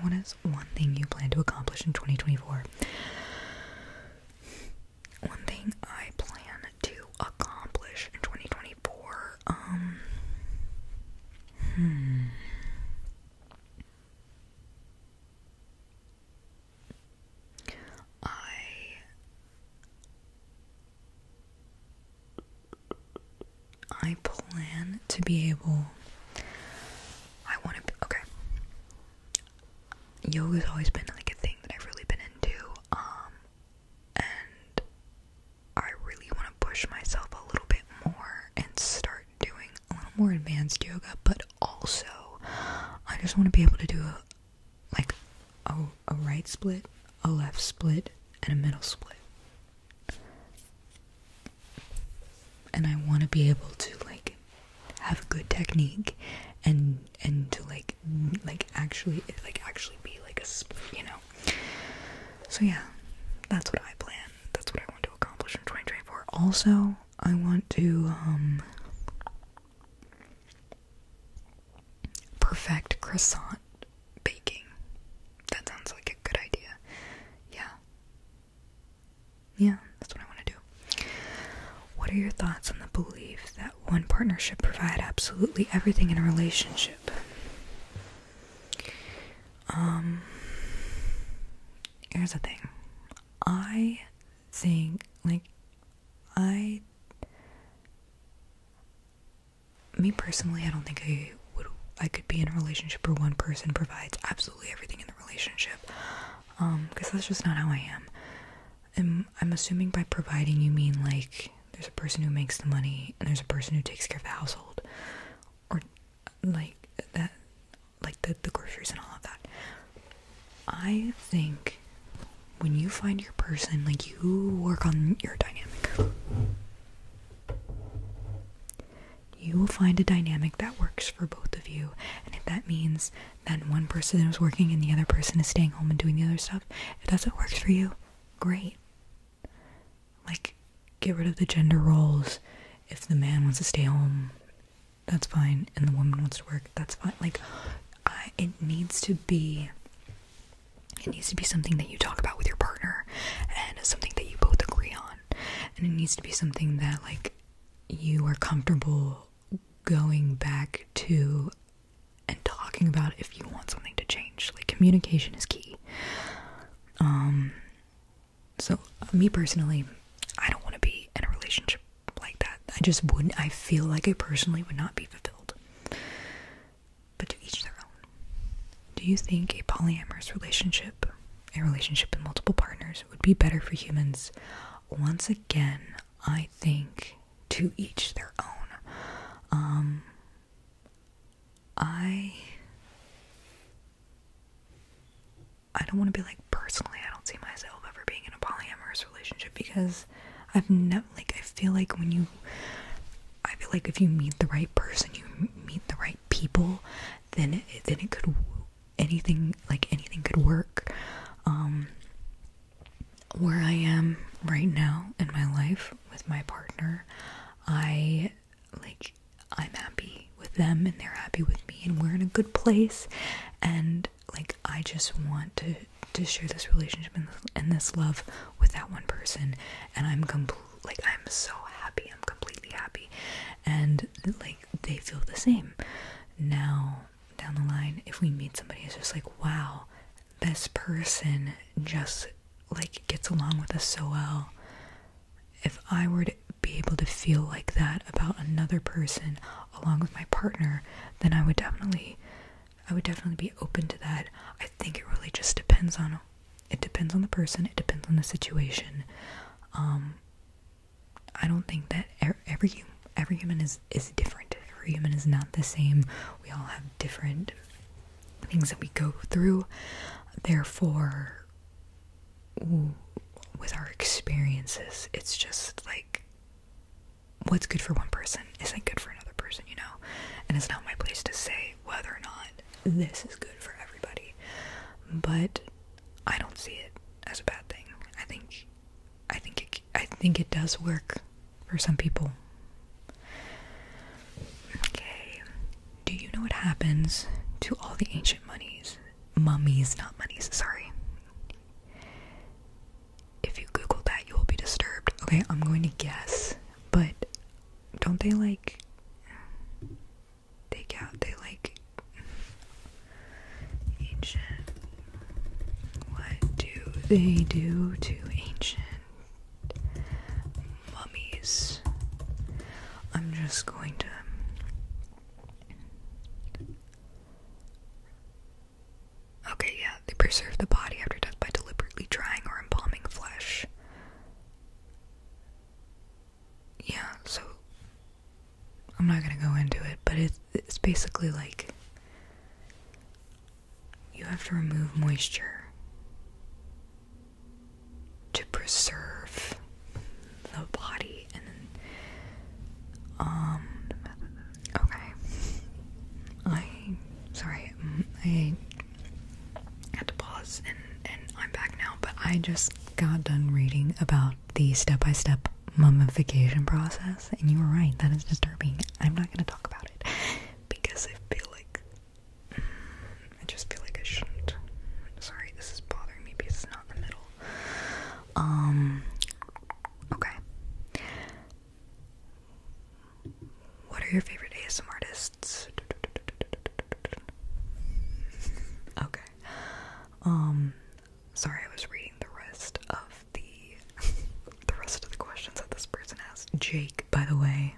what is one thing you plan to accomplish in 2024? One thing I plan to accomplish in 2024. Um. Hmm. I I plan to be able I want to be, okay. Yoga's always been like a thing that I've really been into um and I really want to push myself a little bit more and start doing a little more advanced yoga, but also I just want to be able to do a like a, a right split, a left split, and a middle split. And I want to be able to like have a good technique and and to like like actually like actually be like a split, you know. So yeah, that's what I plan. That's what I want to accomplish in 2024. Also, I want to um, perfect croissant baking. That sounds like a good idea. Yeah. Yeah, that's what I want to do. What are your thoughts on the belief that one partnership should provide absolutely everything in a relationship? Um here's the thing. I think like I me personally I don't think I would I could be in a relationship where one person provides absolutely everything in the relationship. Um, because that's just not how I am. And I'm assuming by providing you mean like there's a person who makes the money and there's a person who takes care of the household or like that like the, the groceries and all of that. I think when you find your person, like you work on your dynamic, you will find a dynamic that works for both of you. And if that means then one person is working and the other person is staying home and doing the other stuff, if that's what works for you, great. Like, get rid of the gender roles. If the man wants to stay home that's fine and the woman wants to work that's fine like it needs to be it needs to be something that you talk about with your partner and something that you both agree on and it needs to be something that like you are comfortable going back to and talking about if you want something to change like communication is key um so, me personally, I don't want to be in a relationship like that. I just wouldn't, I feel like I personally would not be fulfilled. But to each their own. Do you think a polyamorous relationship, a relationship with multiple partners, would be better for humans? Once again, I think to each their own. Um, I I don't want to be like personally, I don't see myself ever being in a polyamorous relationship because I've never like I feel like when you I feel like if you meet the right person, you meet the right people, then it, then it could anything like anything could work. Um where I am right now in my life with my partner, I like I'm happy with them and they're happy with me and we're in a good place and like I just want to to share this relationship and this, love with that one person and I'm complete like I'm so happy I'm completely happy and like they feel the same now down the line if we meet somebody it's just like wow this person just like gets along with us so well if I were to be able to feel like that about another person along with my partner, then I would definitely I would definitely be open to that. I think it really just depends on it depends on the person, it depends on the situation. Um I don't think that every every human is is different. Every human is not the same. We all have different things that we go through. Therefore, with our experiences, it's just like what's good for one person isn't good for another person, you know? And it's not my place to say whether or not this is good for everybody. But I don't see it as a bad thing. I think I think it, I think it does work for some people. Okay. Do you know what happens to all the ancient monies mummies, not mummies. sorry. If you Google that, you will be disturbed. Okay, I'm going to guess, but don't they like take out? They like ancient. What do they do to ancient mummies? I'm just going to Okay, yeah, they preserve the body after death by deliberately drying or embalming flesh. Yeah, so I'm not gonna go into it, but it's, it's basically like you have to remove moisture to preserve the body and then um okay I sorry mm, I had to pause and and I'm back now but I just got done reading about the step-by-step mummification process and you were right that is disturbing I'm not gonna talk about it because I feel like mm, I just feel like I shouldn't. Sorry, this is bothering me because it's not in the middle um okay. What are your favorite ASM artists? Okay. Um sorry I was reading the rest of the the rest of the questions that this person asked. Jake, by the way.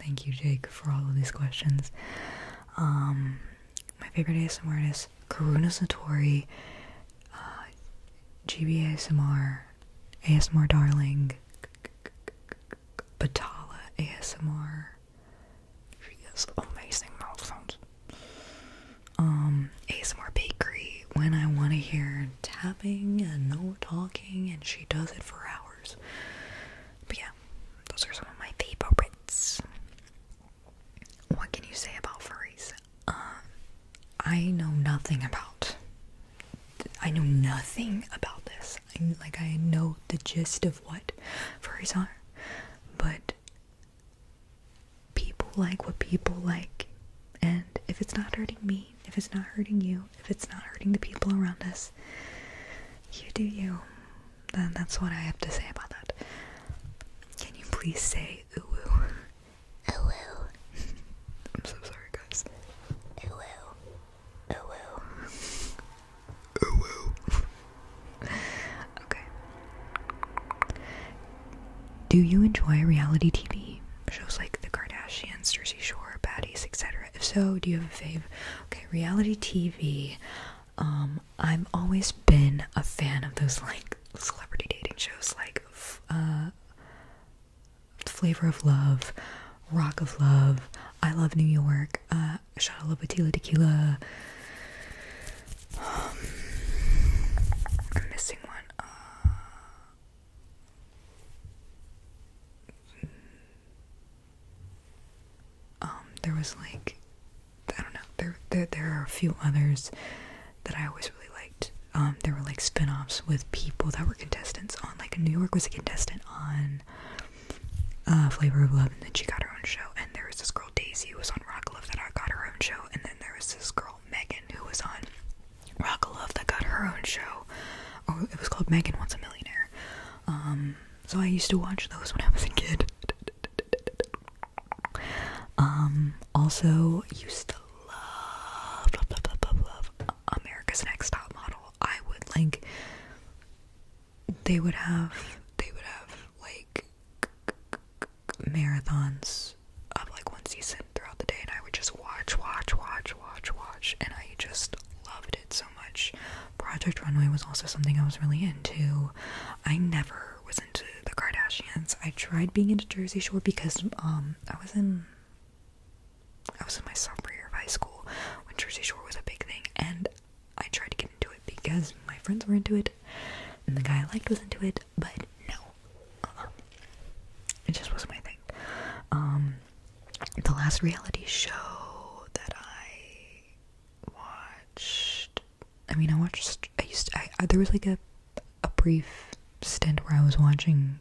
Thank you, Jake, for all of these questions. Um my favorite ASMR artist, Karuna Satori, uh, GB ASMR, ASMR Darling, Patala ASMR. She has amazing mouth sounds. Um, ASMR Bakery, when I want to hear tapping and no talking, and she does it for hours. But yeah, those are some of my favorites what can you say about furries? Um, I know nothing about. I know nothing about this. like I know the gist of what furries are, but people like what people like, and if it's not hurting me, if it's not hurting you, if it's not hurting the people around us, you do you. Then that's what I have to say about that. Can you please say uwu? Uwu. I'm so sorry, guys. Uwu. Uwu. Uwu. okay. Do you enjoy reality TV? Shows like The Kardashians, Jersey Shore, Baddies, etc. If so, do you have a fave? Okay, reality TV. Um, I've always been a fan of those like celebrity dating shows, like uh, Flavor of Love, Rock of Love, I Love New York, uh, Shadala Batila Tequila. Um, I'm missing one. Uh, um, there was like I don't know. There, there, there are a few others that I always really liked. Um, there were like spin-offs with people that were contestants on. Like New York was a contestant on uh, Flavor of Love, and then she got her own show. And there was this girl Daisy who was on Rock Love that got her own show. And then there was this girl Megan who was on Rock Love that got her own show. oh, it was called Megan Wants a Millionaire. Um, so I used to watch those when I was a kid. Um, also used to love, love, love, love, love, love America's Next Top Model. I would like they would have they would have like marathons of like one season throughout the day and I would just watch, watch, watch, watch, watch and I just loved it so much. Project Runway was also something I was really into. I never was the Kardashians. I tried being into Jersey Shore because um, I was in I was in my sophomore year of high school when Jersey Shore was a big thing and I tried to get into it because my friends were into it and the guy I liked was into it, but no. Uh-uh. It just wasn't my thing. Um, the last reality show that I watched I mean, I watched. I used. To, I there was like a a brief stint where I was watching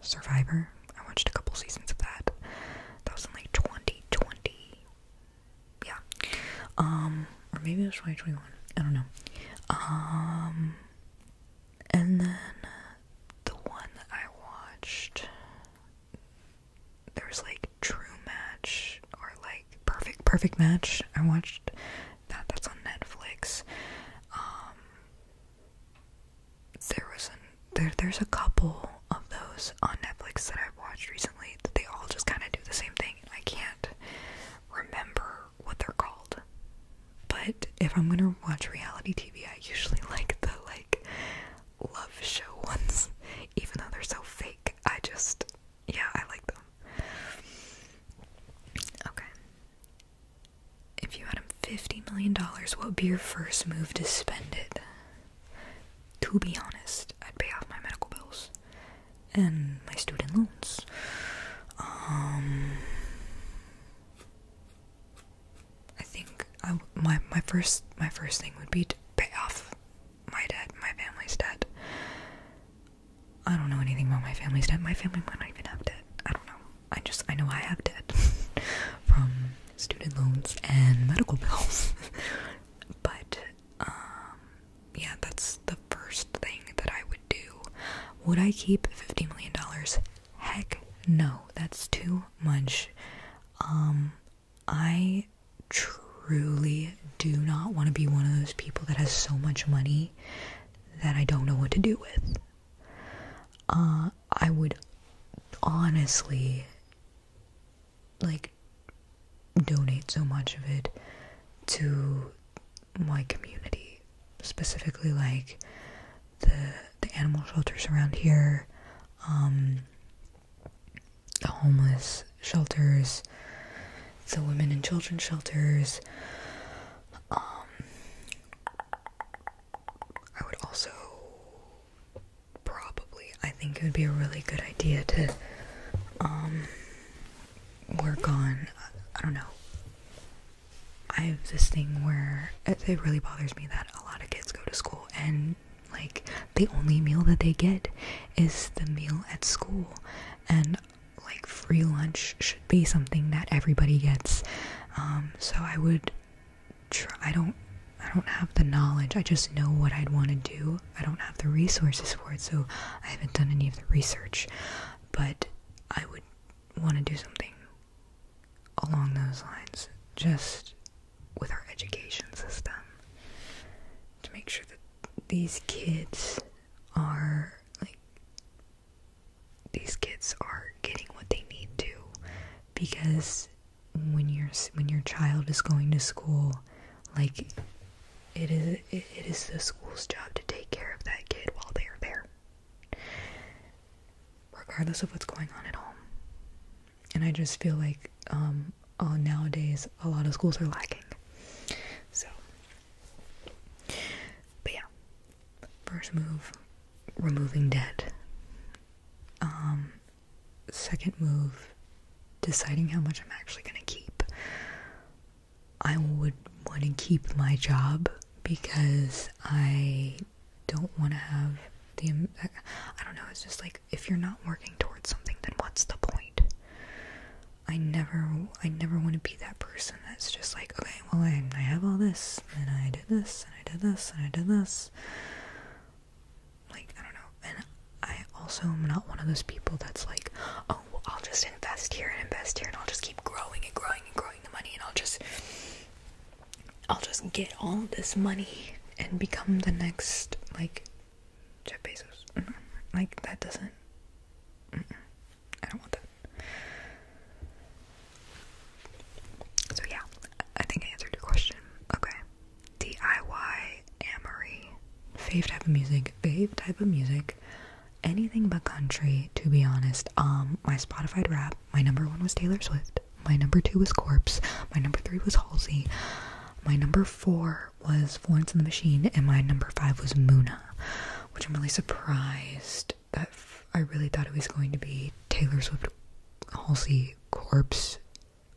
Survivor. I watched a couple seasons of that. That was in like 2020. Yeah. Um, or maybe it was 2021. I don't know. Um, and then the one that I watched, there was like True Match or like Perfect Perfect Match. I watched that. That's on Netflix. Um, there was an, there there's a couple of those on Netflix that I've watched recently that they all just kind of do the same thing. I can't remember what they're called. But if I'm gonna watch reality TV, I usually like the like love show ones, even though they're so fake. I just yeah, I like them. Okay. If you had fifty million dollars, what would be your first move to spend it? To be honest, I'd pay off my medical bills and my student loans. Um, I think I, my my first my first thing would be to pay off my debt, my family's debt. I don't know anything about my family's debt. My family might not even have debt. I don't know. I just I know I have debt from student loans and medical bills. but um yeah, that's the first thing that I would do. Would I keep fifty million dollars? Heck no. That's too much. Um I truly do not want to be one of those people that has so much money that I don't know what to do with. Uh, I would honestly like donate so much of it to my community, specifically like the the animal shelters around here, um, the homeless shelters, the women and children shelters. Um, I would also probably, I think it would be a really good idea to um, work on, I don't know. I have this thing where it really bothers me that a lot of kids go to school and like the only meal that they get is the meal at school and like free lunch should be something that everybody gets. Um, so I would try. I don't. I don't have the knowledge. I just know what I'd want to do. I don't have the resources for it, so I haven't done any of the research. But I would want to do something along those lines, just with our education system, to make sure that these kids are like these kids are getting what they need to because when your when your child is going to school like is it, it is the school's job to take care of that kid while they are there regardless of what's going on at home and i just feel like um, uh, nowadays a lot of schools are lacking so but yeah, first move, removing debt. Um, second move, deciding how much I'm actually gonna keep. I would want to keep my job because I don't want to have the. I don't know, it's just like if you're not working towards something, then what's the point? I never I never want to be that person that's just like, okay, well I, I have all this and I did this and I did this and I did this. Like, I don't know. And I also am not one of those people that's like, oh, I'll just invest here and invest here and I'll just keep growing and growing and growing the money and I'll just I'll just get all this money and become the next like Jeff Bezos. Mm-hmm. Like, that doesn't. I don't want that. So, yeah, I think I answered your question. Okay. DIY Amory. Fave type of music. Fave type of music. Anything but country, to be honest. Um, my Spotify rap, my number one was Taylor Swift. My number two was Corpse. My number three was Halsey. My number four was Florence and the Machine, and my number five was Muna, which I'm really surprised that I really thought it was going to be Taylor Swift, Halsey, Corpse,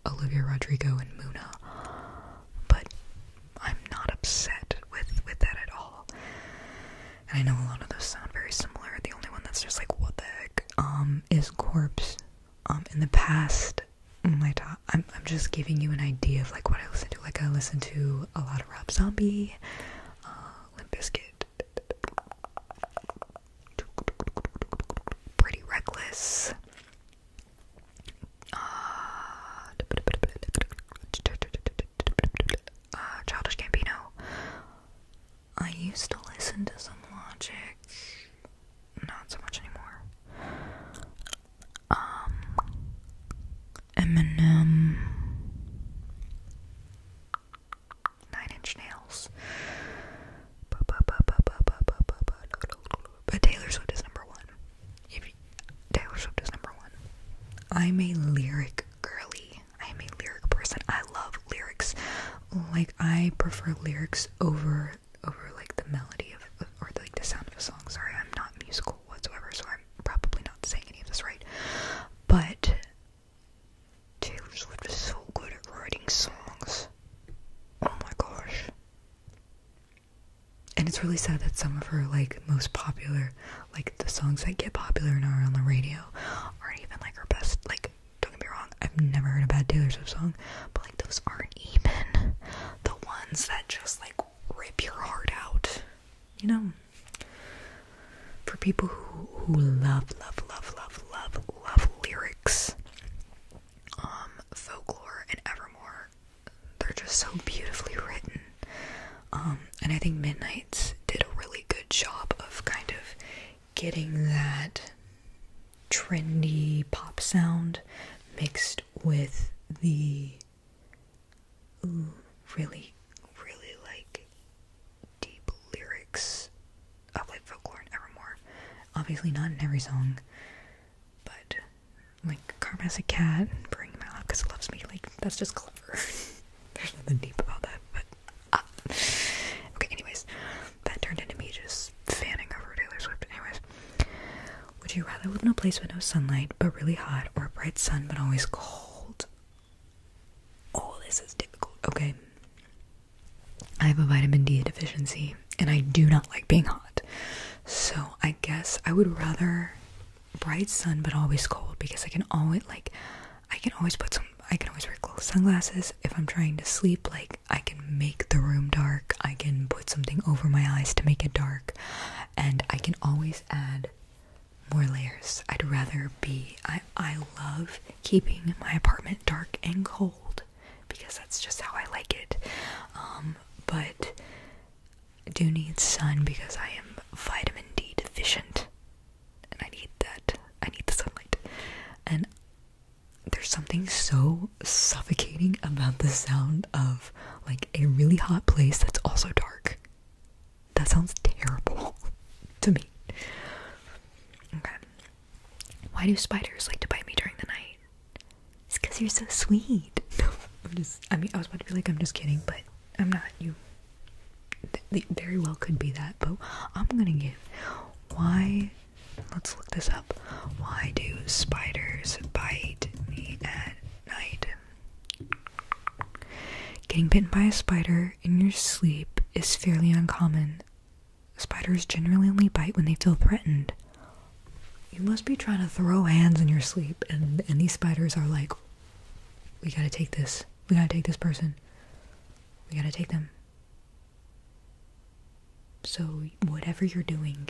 Olivia Rodrigo, and Muna. But I'm not upset with with that at all. And I know a lot of those sound very similar. The only one that's just like what the heck um, is Corpse. Um, in the past, my top I'm just giving you an idea of like what I listen to. Like I listen to a lot of Rob Zombie, uh, Pretty Reckless. Uh, uh, Childish Gambino. I used to listen to some Logic, not so much anymore um, Eminem, Nine Inch Nails. But Taylor Swift is number one. If Taylor Swift is number one. I'm a lyric girly. I'm a lyric person. I love lyrics. Like I prefer lyrics over over like the melody of or like the sound of a song. Sorry, I'm not musical whatsoever, so I'm probably not saying any of this right, but Taylor Swift is so good at writing songs. Oh my gosh. And it's really sad that some of her like most popular, like the songs that get popular and are on the radio, aren't even like her best. Like, don't get me wrong, I've never heard a bad Taylor Swift song, but like those aren't even the ones that just like rip your heart out you know, for people who who love love love love love love lyrics, um, folklore and evermore, they're just so beautifully written. Um, and I think Midnight's did a really good job of kind of getting that trendy pop sound mixed with the really, really like deep lyrics of like folklore and evermore. Obviously not in every song, but like Karma as a cat and bring my love because it loves me, like that's just clever. There's nothing deep about that, but ah. Okay, anyways, that turned into me just fanning over Taylor Swift. Anyways, would you rather live in a place with no sunlight but really hot or a bright sun but always cold? All oh, this is difficult. Okay. I have a vitamin D deficiency and I do not like being hot. So I guess I would rather bright sun but always cold because I can always like I can always put some I can always wear sunglasses if I'm trying to sleep like I can make the room dark I can put something over my eyes to make it dark and I can always add more layers. I'd rather be I I love keeping my apartment dark and cold because that's just how I like it. Um, but I do need sun because I am vitamin D deficient. And I need that. I need the sunlight. And there's something so suffocating about the sound of like a really hot place that's also dark. That sounds terrible to me. Okay. Why do spiders like to bite me during the night? It's because you're so sweet. No, I'm just, I mean, I was about to be like, I'm just kidding, but I'm not. You very well could be that, but I'm gonna give. Why, let's look this up. Why do spiders bite me at night? Getting bitten by a spider in your sleep is fairly uncommon. Spiders generally only bite when they feel threatened. You must be trying to throw hands in your sleep, and, and these spiders are like, we gotta take this. We gotta take this person. We gotta take them. So, whatever you're doing,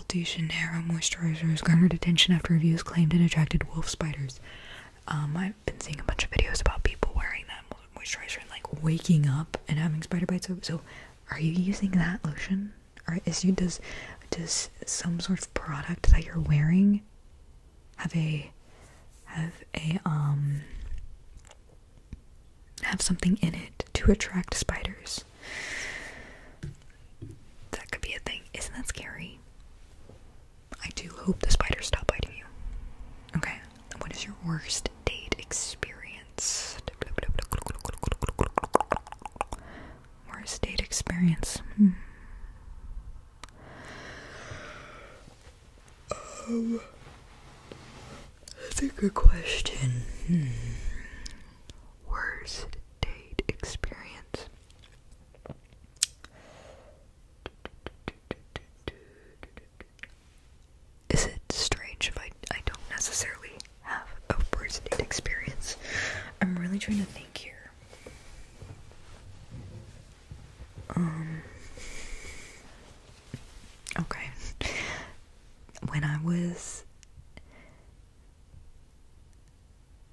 Sol de moisturizer has garnered attention after reviews claimed it attracted wolf spiders. Um, I've been seeing a bunch of videos about people wearing that moisturizer and like waking up and having spider bites. So, are you using that lotion? Or is you does does some sort of product that you're wearing have a have a um have something in it to attract spiders? That could be a thing. Isn't that scary? I do hope the spiders stop biting you. Okay. What is your worst date experience? Worst date experience. Hmm. Um, that's a good question. Hmm. Worst date experience. Is it strange if I, I don't necessarily have a first date experience? I'm really trying to think here. Um. Okay. When I was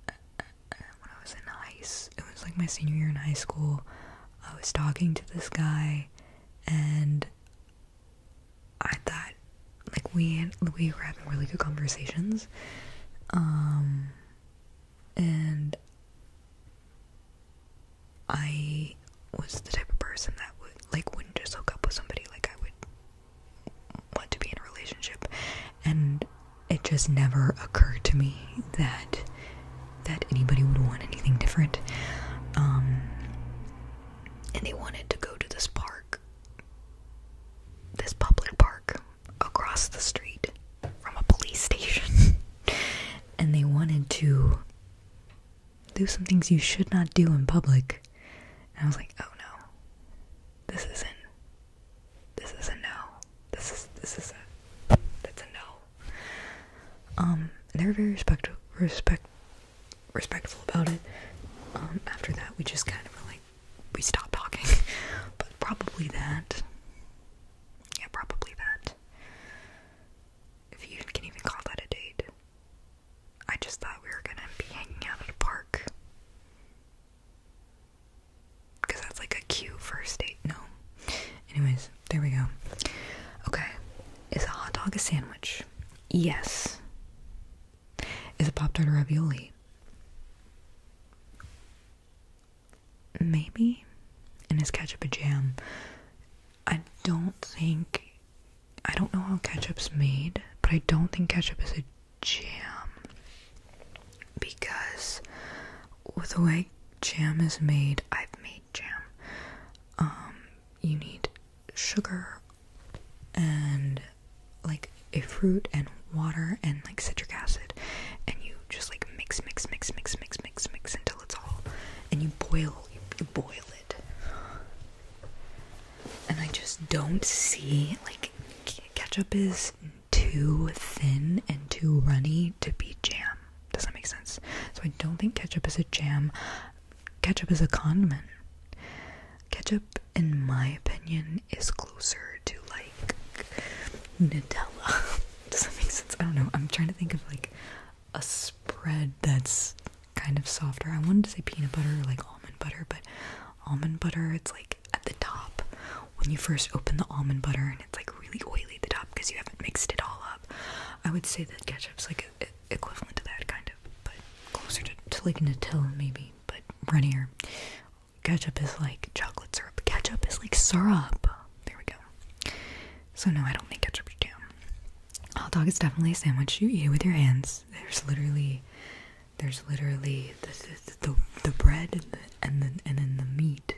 when I was in high, it was like my senior year in high school. I was talking to this guy, and I thought, like we had, we were having really good conversations, um, and I was the type of person that would like wouldn't just hook up with somebody. Like I would want to be in a relationship and it just never occurred to me that that anybody would want anything different um and they wanted to go to this park this public park across the street from a police station and they wanted to do some things you should not do in public and i was like oh no this isn't this is a no. This is this is a that's a no. Um, they were very respectful, respect respectful about it. Um, after that, we just kind of like we stopped talking, but probably that. Yeah, probably that. If you can even call that a date. I just thought we were gonna be hanging out at a park. Because that's like a cute first date. No. Anyways, there we go. Okay. Is a hot dog a sandwich? Yes. Is a Pop Tart a ravioli? Maybe. And is ketchup a jam? I don't think. I don't know how ketchup's made, but I don't think ketchup is a jam because with the way jam is made, I've made jam. Um, you need sugar and like a fruit and water and like citric acid, and you just like mix, mix, mix, mix, mix, mix, mix until it's all, and you boil, you, you boil it. And I just don't see like ketchup is too thin and too runny to be jam. Does that make sense? So I don't think ketchup is a jam. Ketchup is a condiment. Ketchup, in my opinion, is closer to like Nutella. Does that make sense? I don't know. I'm trying to think of like a spread that's kind of softer. I wanted to say peanut butter or like almond butter, but almond butter. It's like at the top when you first open the almond butter and it's like really oily at the top because you haven't mixed it all up. I would say that ketchup is like equivalent to that kind of, but closer to, to like Nutella maybe, but runnier. Ketchup is like chocolate syrup. Ketchup is like syrup. There we go. So no, I don't think ketchup should jam. Hot dog is definitely a sandwich. You eat with your hands. There's literally there's literally the the, bread and the, and then the meat.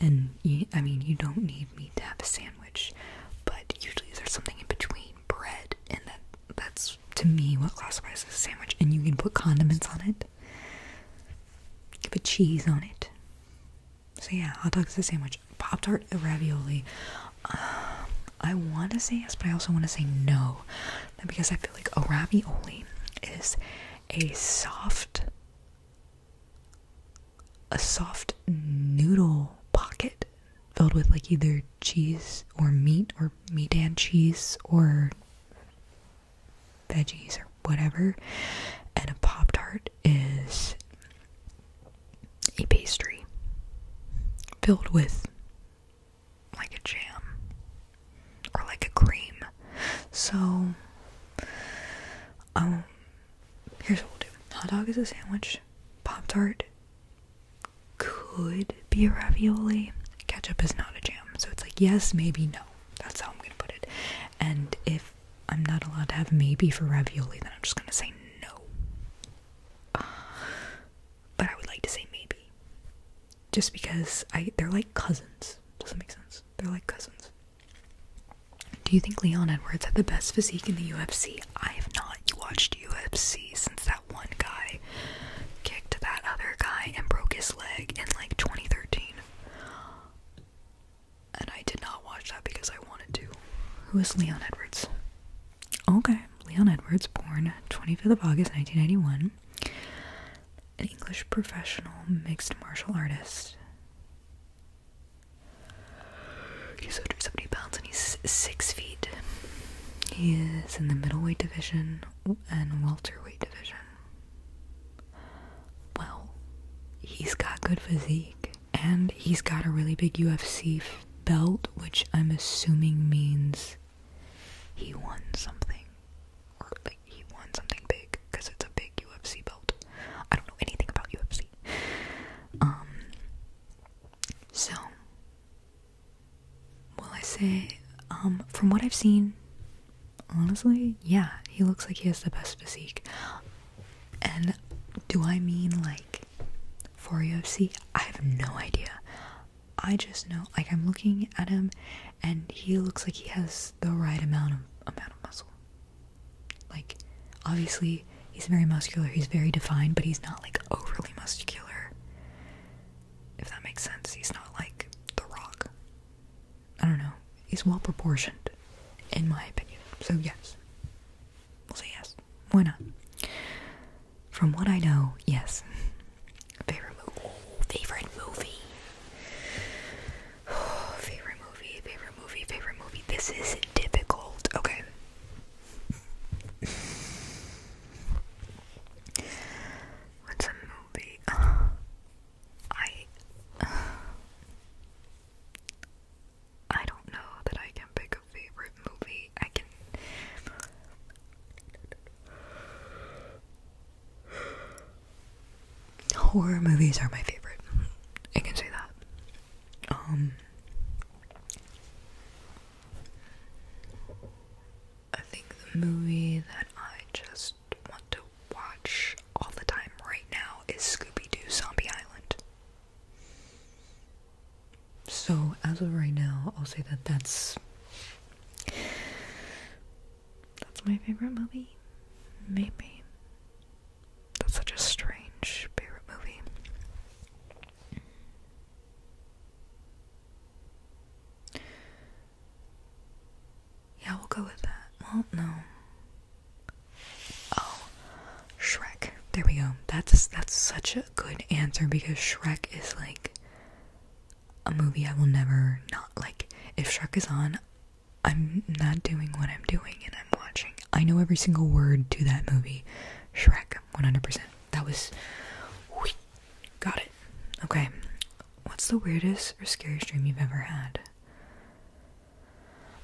And I mean, you don't need meat to have a sandwich, but usually there's something in between bread, and that that's to me what classifies as a sandwich. And you can put condiments on it, you put cheese on it. So yeah, hot dog is a sandwich. Pop tart, ravioli. Uh, I want to say yes, but I also want to say no, because I feel like a ravioli is a soft, a soft noodle pocket filled with like either cheese or meat or meat and cheese or veggies or whatever, and a Pop Tart is a pastry filled with like a jam or like a cream. So, um, here's what we'll do hot dog is a sandwich, Pop Tart could be a ravioli, ketchup is not a jam. So, it's like yes, maybe no. That's how I'm gonna put it. And if I'm not allowed to have maybe for ravioli, then I'm just gonna say no. but I would like to say maybe just because they're like cousins. Does that make sense? They're like cousins. Do you think Leon Edwards had the best physique in the UFC? I have not watched UFC since that one guy kicked that other guy and broke his leg in like 2013. And I did not watch that because I wanted to. Who is Leon Edwards? Okay, Leon Edwards, born 25th of August 1991 an English professional mixed martial artist. He's 170 pounds and he's 6 feet. He is in the middleweight division and welterweight division. Well, he's got good physique and he's got a really big UFC belt, which I'm assuming means he won something like he won something big because it's a big UFC belt. I don't know anything about UFC. Um, so will I say, um, from what I've seen, honestly, yeah, he looks like he has the best physique. And do I mean like for UFC? I have no idea. I just know like I'm looking at him and he looks like he has the right amount of amount of muscle. Like obviously he's very muscular, he's very defined, but he's not like overly muscular. If that makes sense. He's not like the rock. I don't know. He's well proportioned, in my opinion. So yes. We'll say yes. Why not? From what I know, yes. Favorite movie. favorite movie. favorite movie. Favorite movie. Favorite movie. This is difficult. Okay. What's a movie? Uh, I. I don't know that I can pick a favorite movie. I can. Horror movies are my favorite. I can say that. Um I think the movie that I just want to watch all the time right now is Scooby Doo Zombie Island. So, as of right now, I'll say that that's that's my favorite movie. Maybe. That's such a strange favorite movie. Yeah, we'll go with that. Well, no. Oh, Shrek. There we go. That's that's such a good answer because Shrek is like a movie I will never not like. If Shrek is on, I'm not doing what I'm doing and I'm watching. I know every single word to that movie. Shrek, 100%. That was. Whee, got it. Okay. What's the weirdest or scariest dream you've ever had?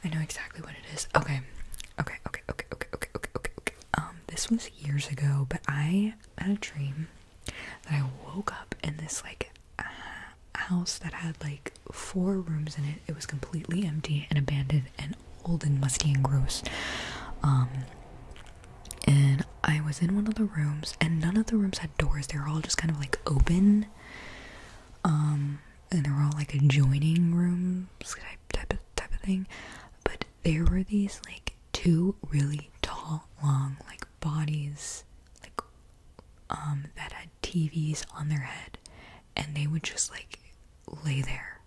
I know exactly what it is. Okay. Okay, okay, okay, okay, okay, okay, okay, okay. Um, this was years ago, but I had a dream that I woke up in this like house that had like four rooms in it. It was completely empty and abandoned and old and musty and gross. Um, and I was in one of the rooms, and none of the rooms had doors. They were all just kind of like open. Um, and they were all like adjoining rooms type type of thing. But there were these like two really tall, long, like bodies like um that had TVs on their head and they would just like lay there.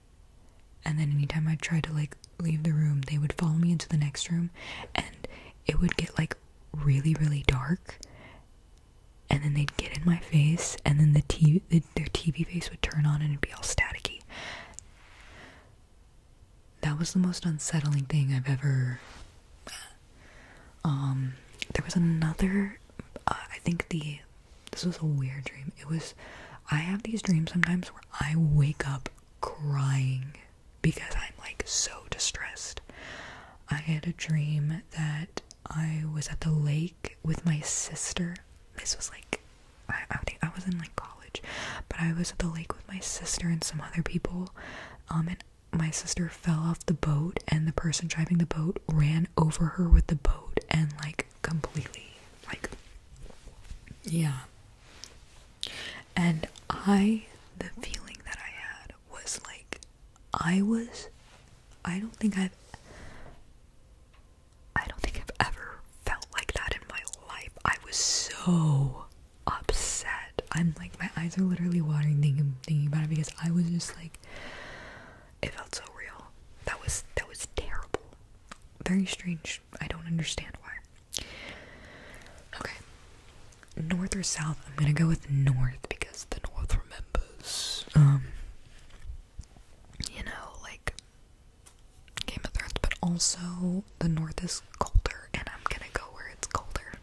And then anytime I tried to like leave the room, they would follow me into the next room and it would get like really really dark. And then they'd get in my face and then the TV their TV face would turn on and it'd be all staticky. That was the most unsettling thing I've ever um, there was another. Uh, I think the this was a weird dream. It was. I have these dreams sometimes where I wake up crying because I'm like so distressed. I had a dream that I was at the lake with my sister. This was like I, think I was in like college, but I was at the lake with my sister and some other people. Um, and my sister fell off the boat and the person driving the boat ran over her with the boat and like completely like yeah and i the feeling that i had was like i was i don't think i've i don't think i've ever felt like that in my life i was so upset. I'm like my eyes are literally watering thinking about it because I was just like it felt so real. That was that was terrible. Very strange. I don't understand why. Okay. North or south? I'm gonna go with north because the north remembers. Um you know, like Game of Thrones, but also the north is colder and I'm gonna go where it's colder.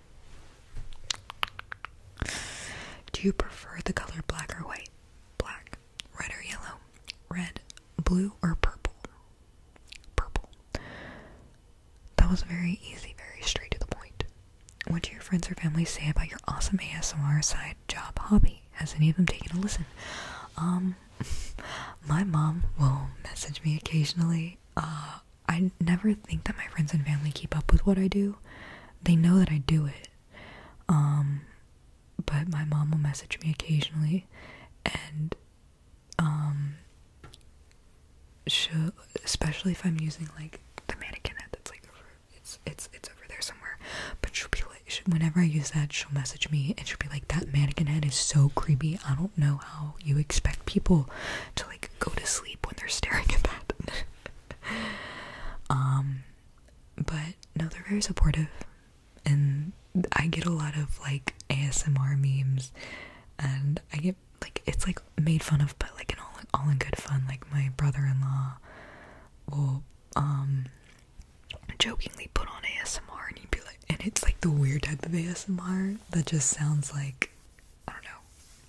Do you prefer the color black or white? Black. Red or yellow? Red. Blue or purple? Purple. That was very easy, very straight to the point. What do your friends or family say about your awesome ASMR side job hobby? Has any of them taken a listen? Um, my mom will message me occasionally. Uh, I never think that my friends and family keep up with what I do. They know that I do it. Um, but my mom will message me occasionally and um she especially if I'm using like the mannequin head that's like it's it's it's over there somewhere. But she'll be like whenever I use that she'll message me and she'll be like that mannequin head is so creepy. I don't know how you expect people to like go to sleep when they're staring at that. um, but no, they're very supportive, and I get a lot of like ASMR memes, and I get like it's like made fun of, but like in all all in good fun. Like my brother-in-law will um jokingly put on ASMR, and he'd be like, and it's like the weird type of ASMR that just sounds like I don't know.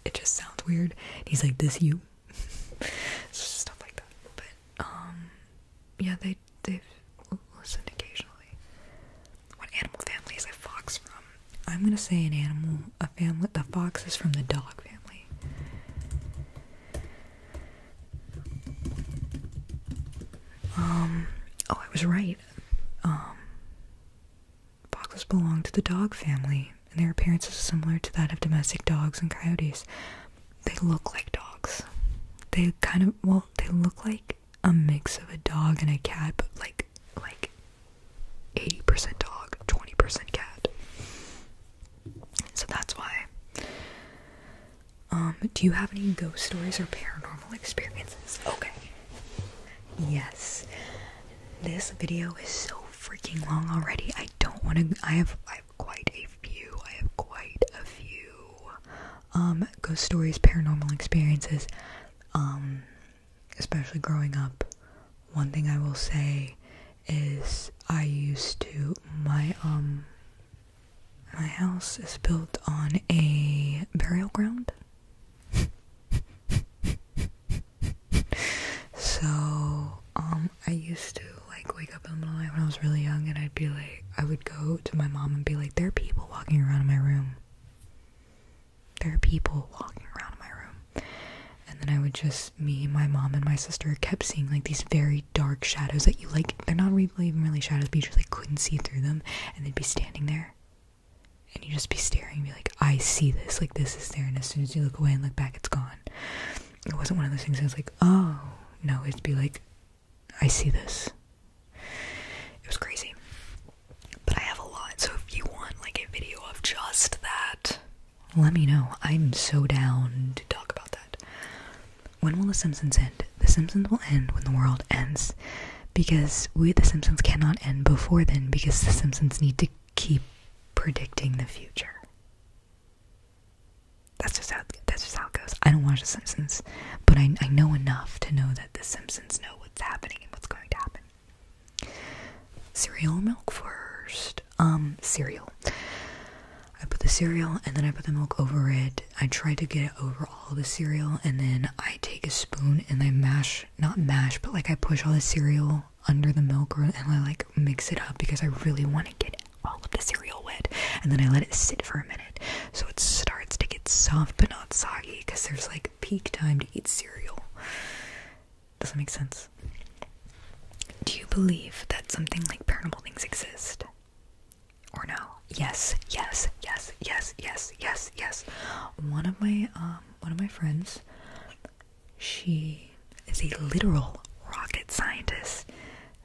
It just sounds weird. He's like, "This you," stuff like that. But um, yeah, they they've occasionally. What animal family is a fox from? I'm gonna say an animal, a family. The fox is from the dog family. Um. Oh, I was right. Um. Foxes belong to the dog family, and their appearance is similar to that of domestic dogs and coyotes. They look like dogs. They kind of, well, they look like a mix of a dog and a cat, but like, like 80% dog, 20% cat. So that's why. Um, do you have any ghost stories or paranormal experiences? Okay. Yes. This video is so freaking long already. I don't want to. I have I have quite a few. I have quite a few um ghost stories, paranormal experiences. Um, especially growing up. One thing I will say is I used to my um my house is built on a burial ground. so um I used to like wake up in the middle of the night when I was really young and I'd be like I would go to my mom and be like there are people walking around in my room there are people walking around in my room and then I would just me my mom and my sister kept seeing like these very dark shadows that you like they're not really even really shadows but you just like couldn't see through them and they'd be standing there and you just be staring and be like, I see this, like this is there, and as soon as you look away and look back, it's gone. It wasn't one of those things I was like, oh no, it'd be like, I see this. It was crazy. But I have a lot, so if you want like a video of just that, let me know. I'm so down to talk about that. When will The Simpsons end? The Simpsons will end when the world ends because we, The Simpsons, cannot end before then because The Simpsons need to keep predicting the future. That's just how that's just how it goes. I don't watch The Simpsons, but I know enough to know that The Simpsons know what's happening and what's going to happen. Cereal milk first. Um, cereal. I put the cereal and then I put the milk over it. I try to get it over all the cereal and then I take a spoon and I mash, not mash, but like I push all the cereal under the milk and I like mix it up because I really want to get all of the cereal wet and then I let it sit for a minute so it starts to get soft but not soggy because there's like peak time to eat cereal. Does that make sense? Do you believe that something like paranormal things exist? Or no? Yes, yes, yes, yes, yes, yes, yes. One of my um, one of my friends she is a literal rocket scientist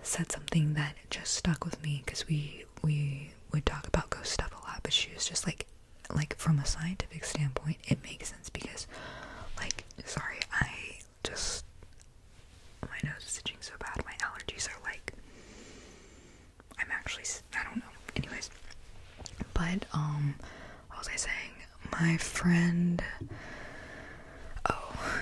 said something that just stuck with me because we we would talk about ghost stuff a lot but she was just like like from a scientific standpoint it makes sense because like sorry i just my nose is itching so bad my allergies are like i'm actually i don't know anyways but um what was I saying? My friend. Oh,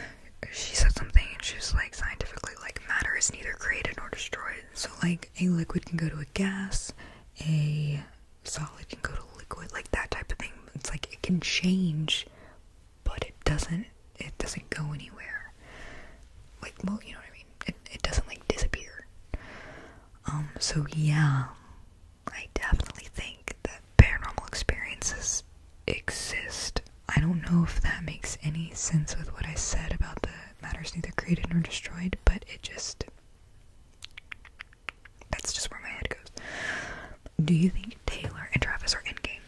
she said something, and she was like, scientifically, like, matter is neither created nor destroyed. So, like, a liquid can go to a gas, a solid can go to liquid, like that type of thing. It's like it can change, but it doesn't. It doesn't go anywhere. Like, well, you know what I mean. It it doesn't like disappear. Um. So yeah, I definitely think that paranormal experiences exist. I don't know if that makes any sense with what I said about the matter is neither created nor destroyed, but it just. That's just where my head goes. Do you think Taylor and Travis are in game?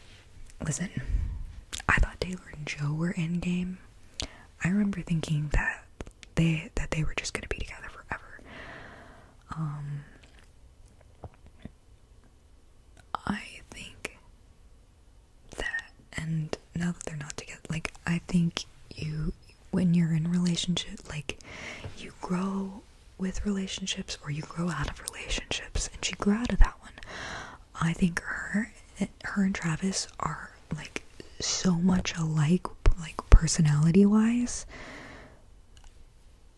Listen, I thought Taylor and Joe were in game. I remember thinking that they that they were just gonna be together forever. Um I think that and now that they're not together like I think you when you're in relationship like you grow with relationships or you grow out of relationships and she grew out of that one. I think her her and Travis are like so much alike, like personality wise,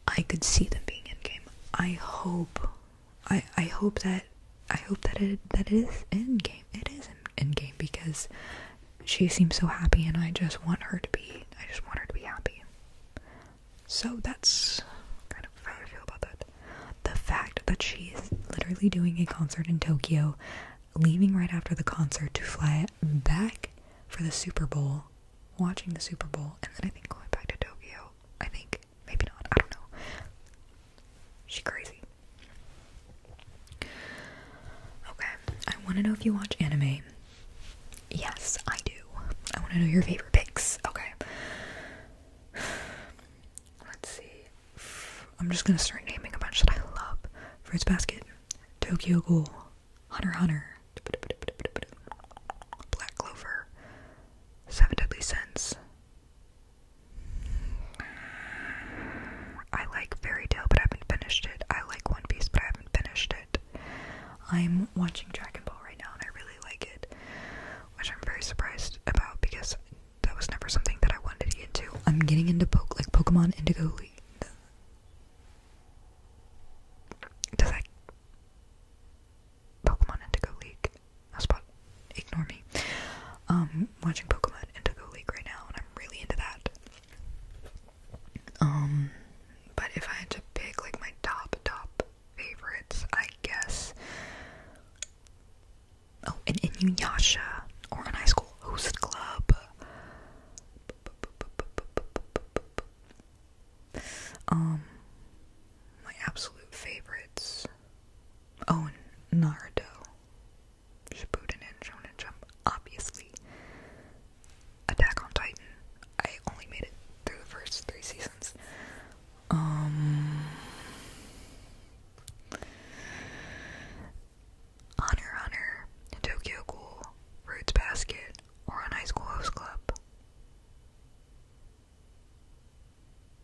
I could see them being in game. I hope, I I hope that I hope that it that it is in game. It is in, in game because she seems so happy, and I just want her to be. I just want her to be happy. So that's kind of how I feel about that. The fact that she is literally doing a concert in Tokyo, leaving right after the concert to fly back for the Super Bowl, watching the Super Bowl, and then I think going back to Tokyo. I think. Maybe not. I don't know. She crazy. Okay. I want to know if you watch anime. Yes, I do. I want to know your favorite picks. Okay. Let's see. I'm just going to start naming a bunch that I love. Fruits Basket, Tokyo Ghoul, Hunter Hunter, Black Clover, Seven Deadly Sins. I like Fairy Tale, but I haven't finished it. I like One Piece, but I haven't finished it. I'm watching Dragon Ball right now, and I really like it, which I'm very surprised about because that was never something that I wanted to get into. I'm getting into po like Pokemon Indigo League. Does that Pokemon Indigo League? That's about ignore me. Um, watching Pokemon Indigo League right now, and I'm really into that. Um, but if I had to pick like my top top favorites, I guess. Oh, an Inuyasha or an high school host club. Um, my absolute favorites. Oh, Naruto. Shippuden and Shonen Jump, obviously. Attack on Titan. I only made it through the first three seasons. Um, Honor Honor, Tokyo Ghoul, Roots Basket, or an High School Host Club.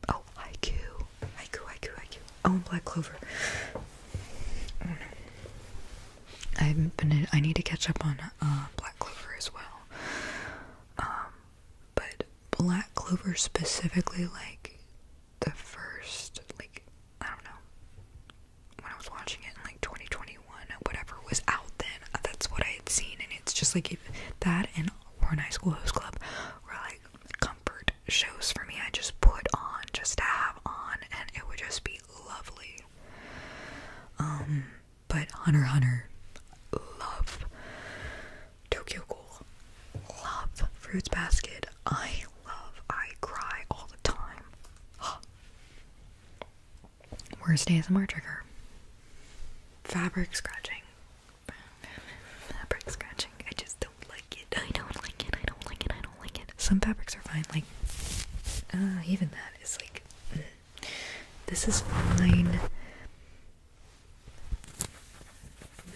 Oh, Haiku. Haiku, Haiku, Haiku. Oh, and Black Clover. Oh, no. I haven't been in, I need to catch up on uh, Black Clover as well. Um, but Black Clover specifically, like, the first, like, I don't know, when I was watching it in like 2021, whatever was out then, uh, that's what I had seen. And it's just like if that and We're in High School Host Club were like comfort shows for me. I just put on just to have on, and it would just be lovely. Um, but Hunter Hunter, love Tokyo Cool, love Fruits Basket. I love. I cry all the time. Worst day ASMR trigger. Fabric scratching. Fabric scratching. I just don't like it. I don't like it. I don't like it. I don't like it. Some fabrics are fine. Like, uh, even that is like, mm. this is fine.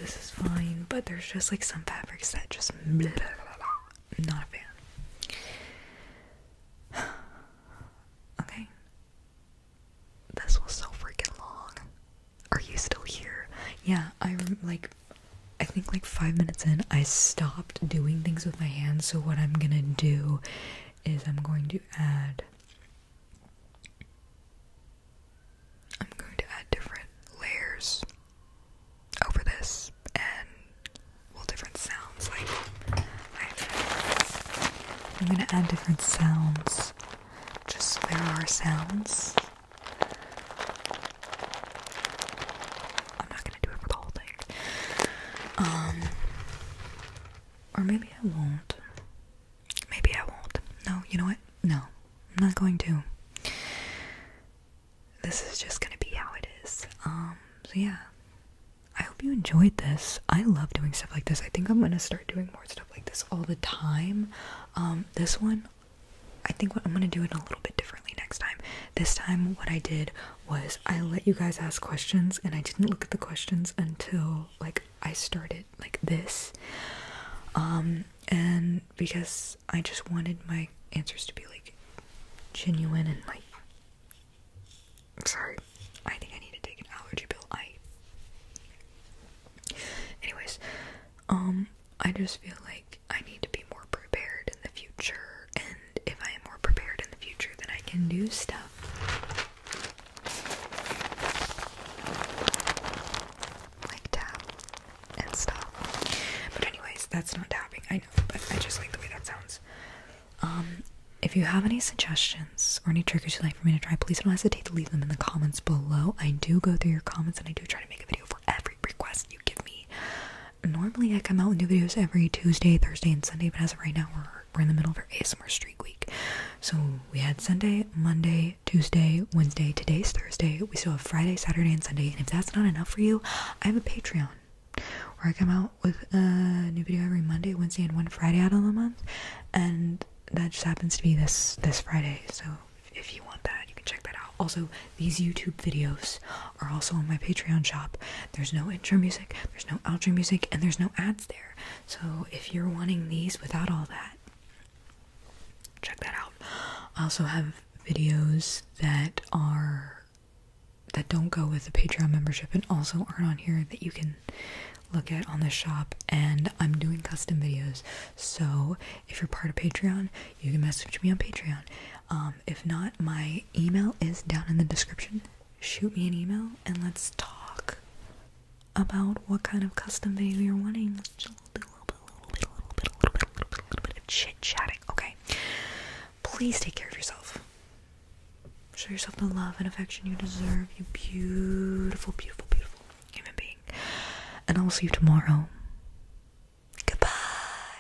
This is fine. But there's just like some fabrics that just, blah, blah, blah. I'm not a fan. okay. This was so freaking long. Are you still here? Yeah, I am like I think like 5 minutes in I stopped doing things with my hands, so what I'm going to do is I'm going to add I'm going to add different layers over this and well different sounds like I'm gonna add different sounds just so there are sounds. I'm not gonna do it for the whole thing. Um or maybe I won't. Maybe I won't. No, you know what? No. I'm not going to this is just gonna be how it is. Um, so yeah. I hope you enjoyed this. I love doing stuff like this. I think I'm gonna start doing more stuff like this all the time. Um, this one, I think what I'm gonna do it a little bit differently next time. This time, what I did was I let you guys ask questions, and I didn't look at the questions until like I started like this. Um, and because I just wanted my answers to be like genuine and like Sorry, I think I need to take an allergy pill. I. Anyways, um, I just feel like I need to be more prepared in the future, and if I am more prepared in the future, then I can do stuff. Like tap and stuff. But anyways, that's not tapping. I know, but I just like the way that sounds. Um, if you have any suggestions or any triggers you'd like for me to try, please don't hesitate to leave them in the comments below. I do go through your comments and I do try to make a video for every request you give me. Normally, I come out with new videos every Tuesday, Thursday, and Sunday, but as of right now, we're, we're in the middle of our ASMR Streak Week. So we had Sunday, Monday, Tuesday, Wednesday, today's Thursday. We still have Friday, Saturday, and Sunday. And if that's not enough for you, I have a Patreon where I come out with a new video every Monday, Wednesday, and one Friday out of the month, and that just happens to be this this Friday. So if you want that, you can check that out. Also, these YouTube videos are also on my Patreon shop. There's no intro music, there's no outro music, and there's no ads there. So if you're wanting these without all that, check that out. I also have videos that are that don't go with the Patreon membership and also aren't on here that you can look at on the shop. And I'm doing custom videos, so if you're part of Patreon, you can message me on Patreon. Um, if not, my email is down in the description. Shoot me an email and let's talk about what kind of custom video you're wanting. Let's do a little bit, a little bit, a little bit, a little bit, a little bit, a little bit of chit chatting. Okay. Please take care of yourself. Show yourself the love and affection you deserve, you beautiful, beautiful, beautiful human being. And I will see you tomorrow. Goodbye.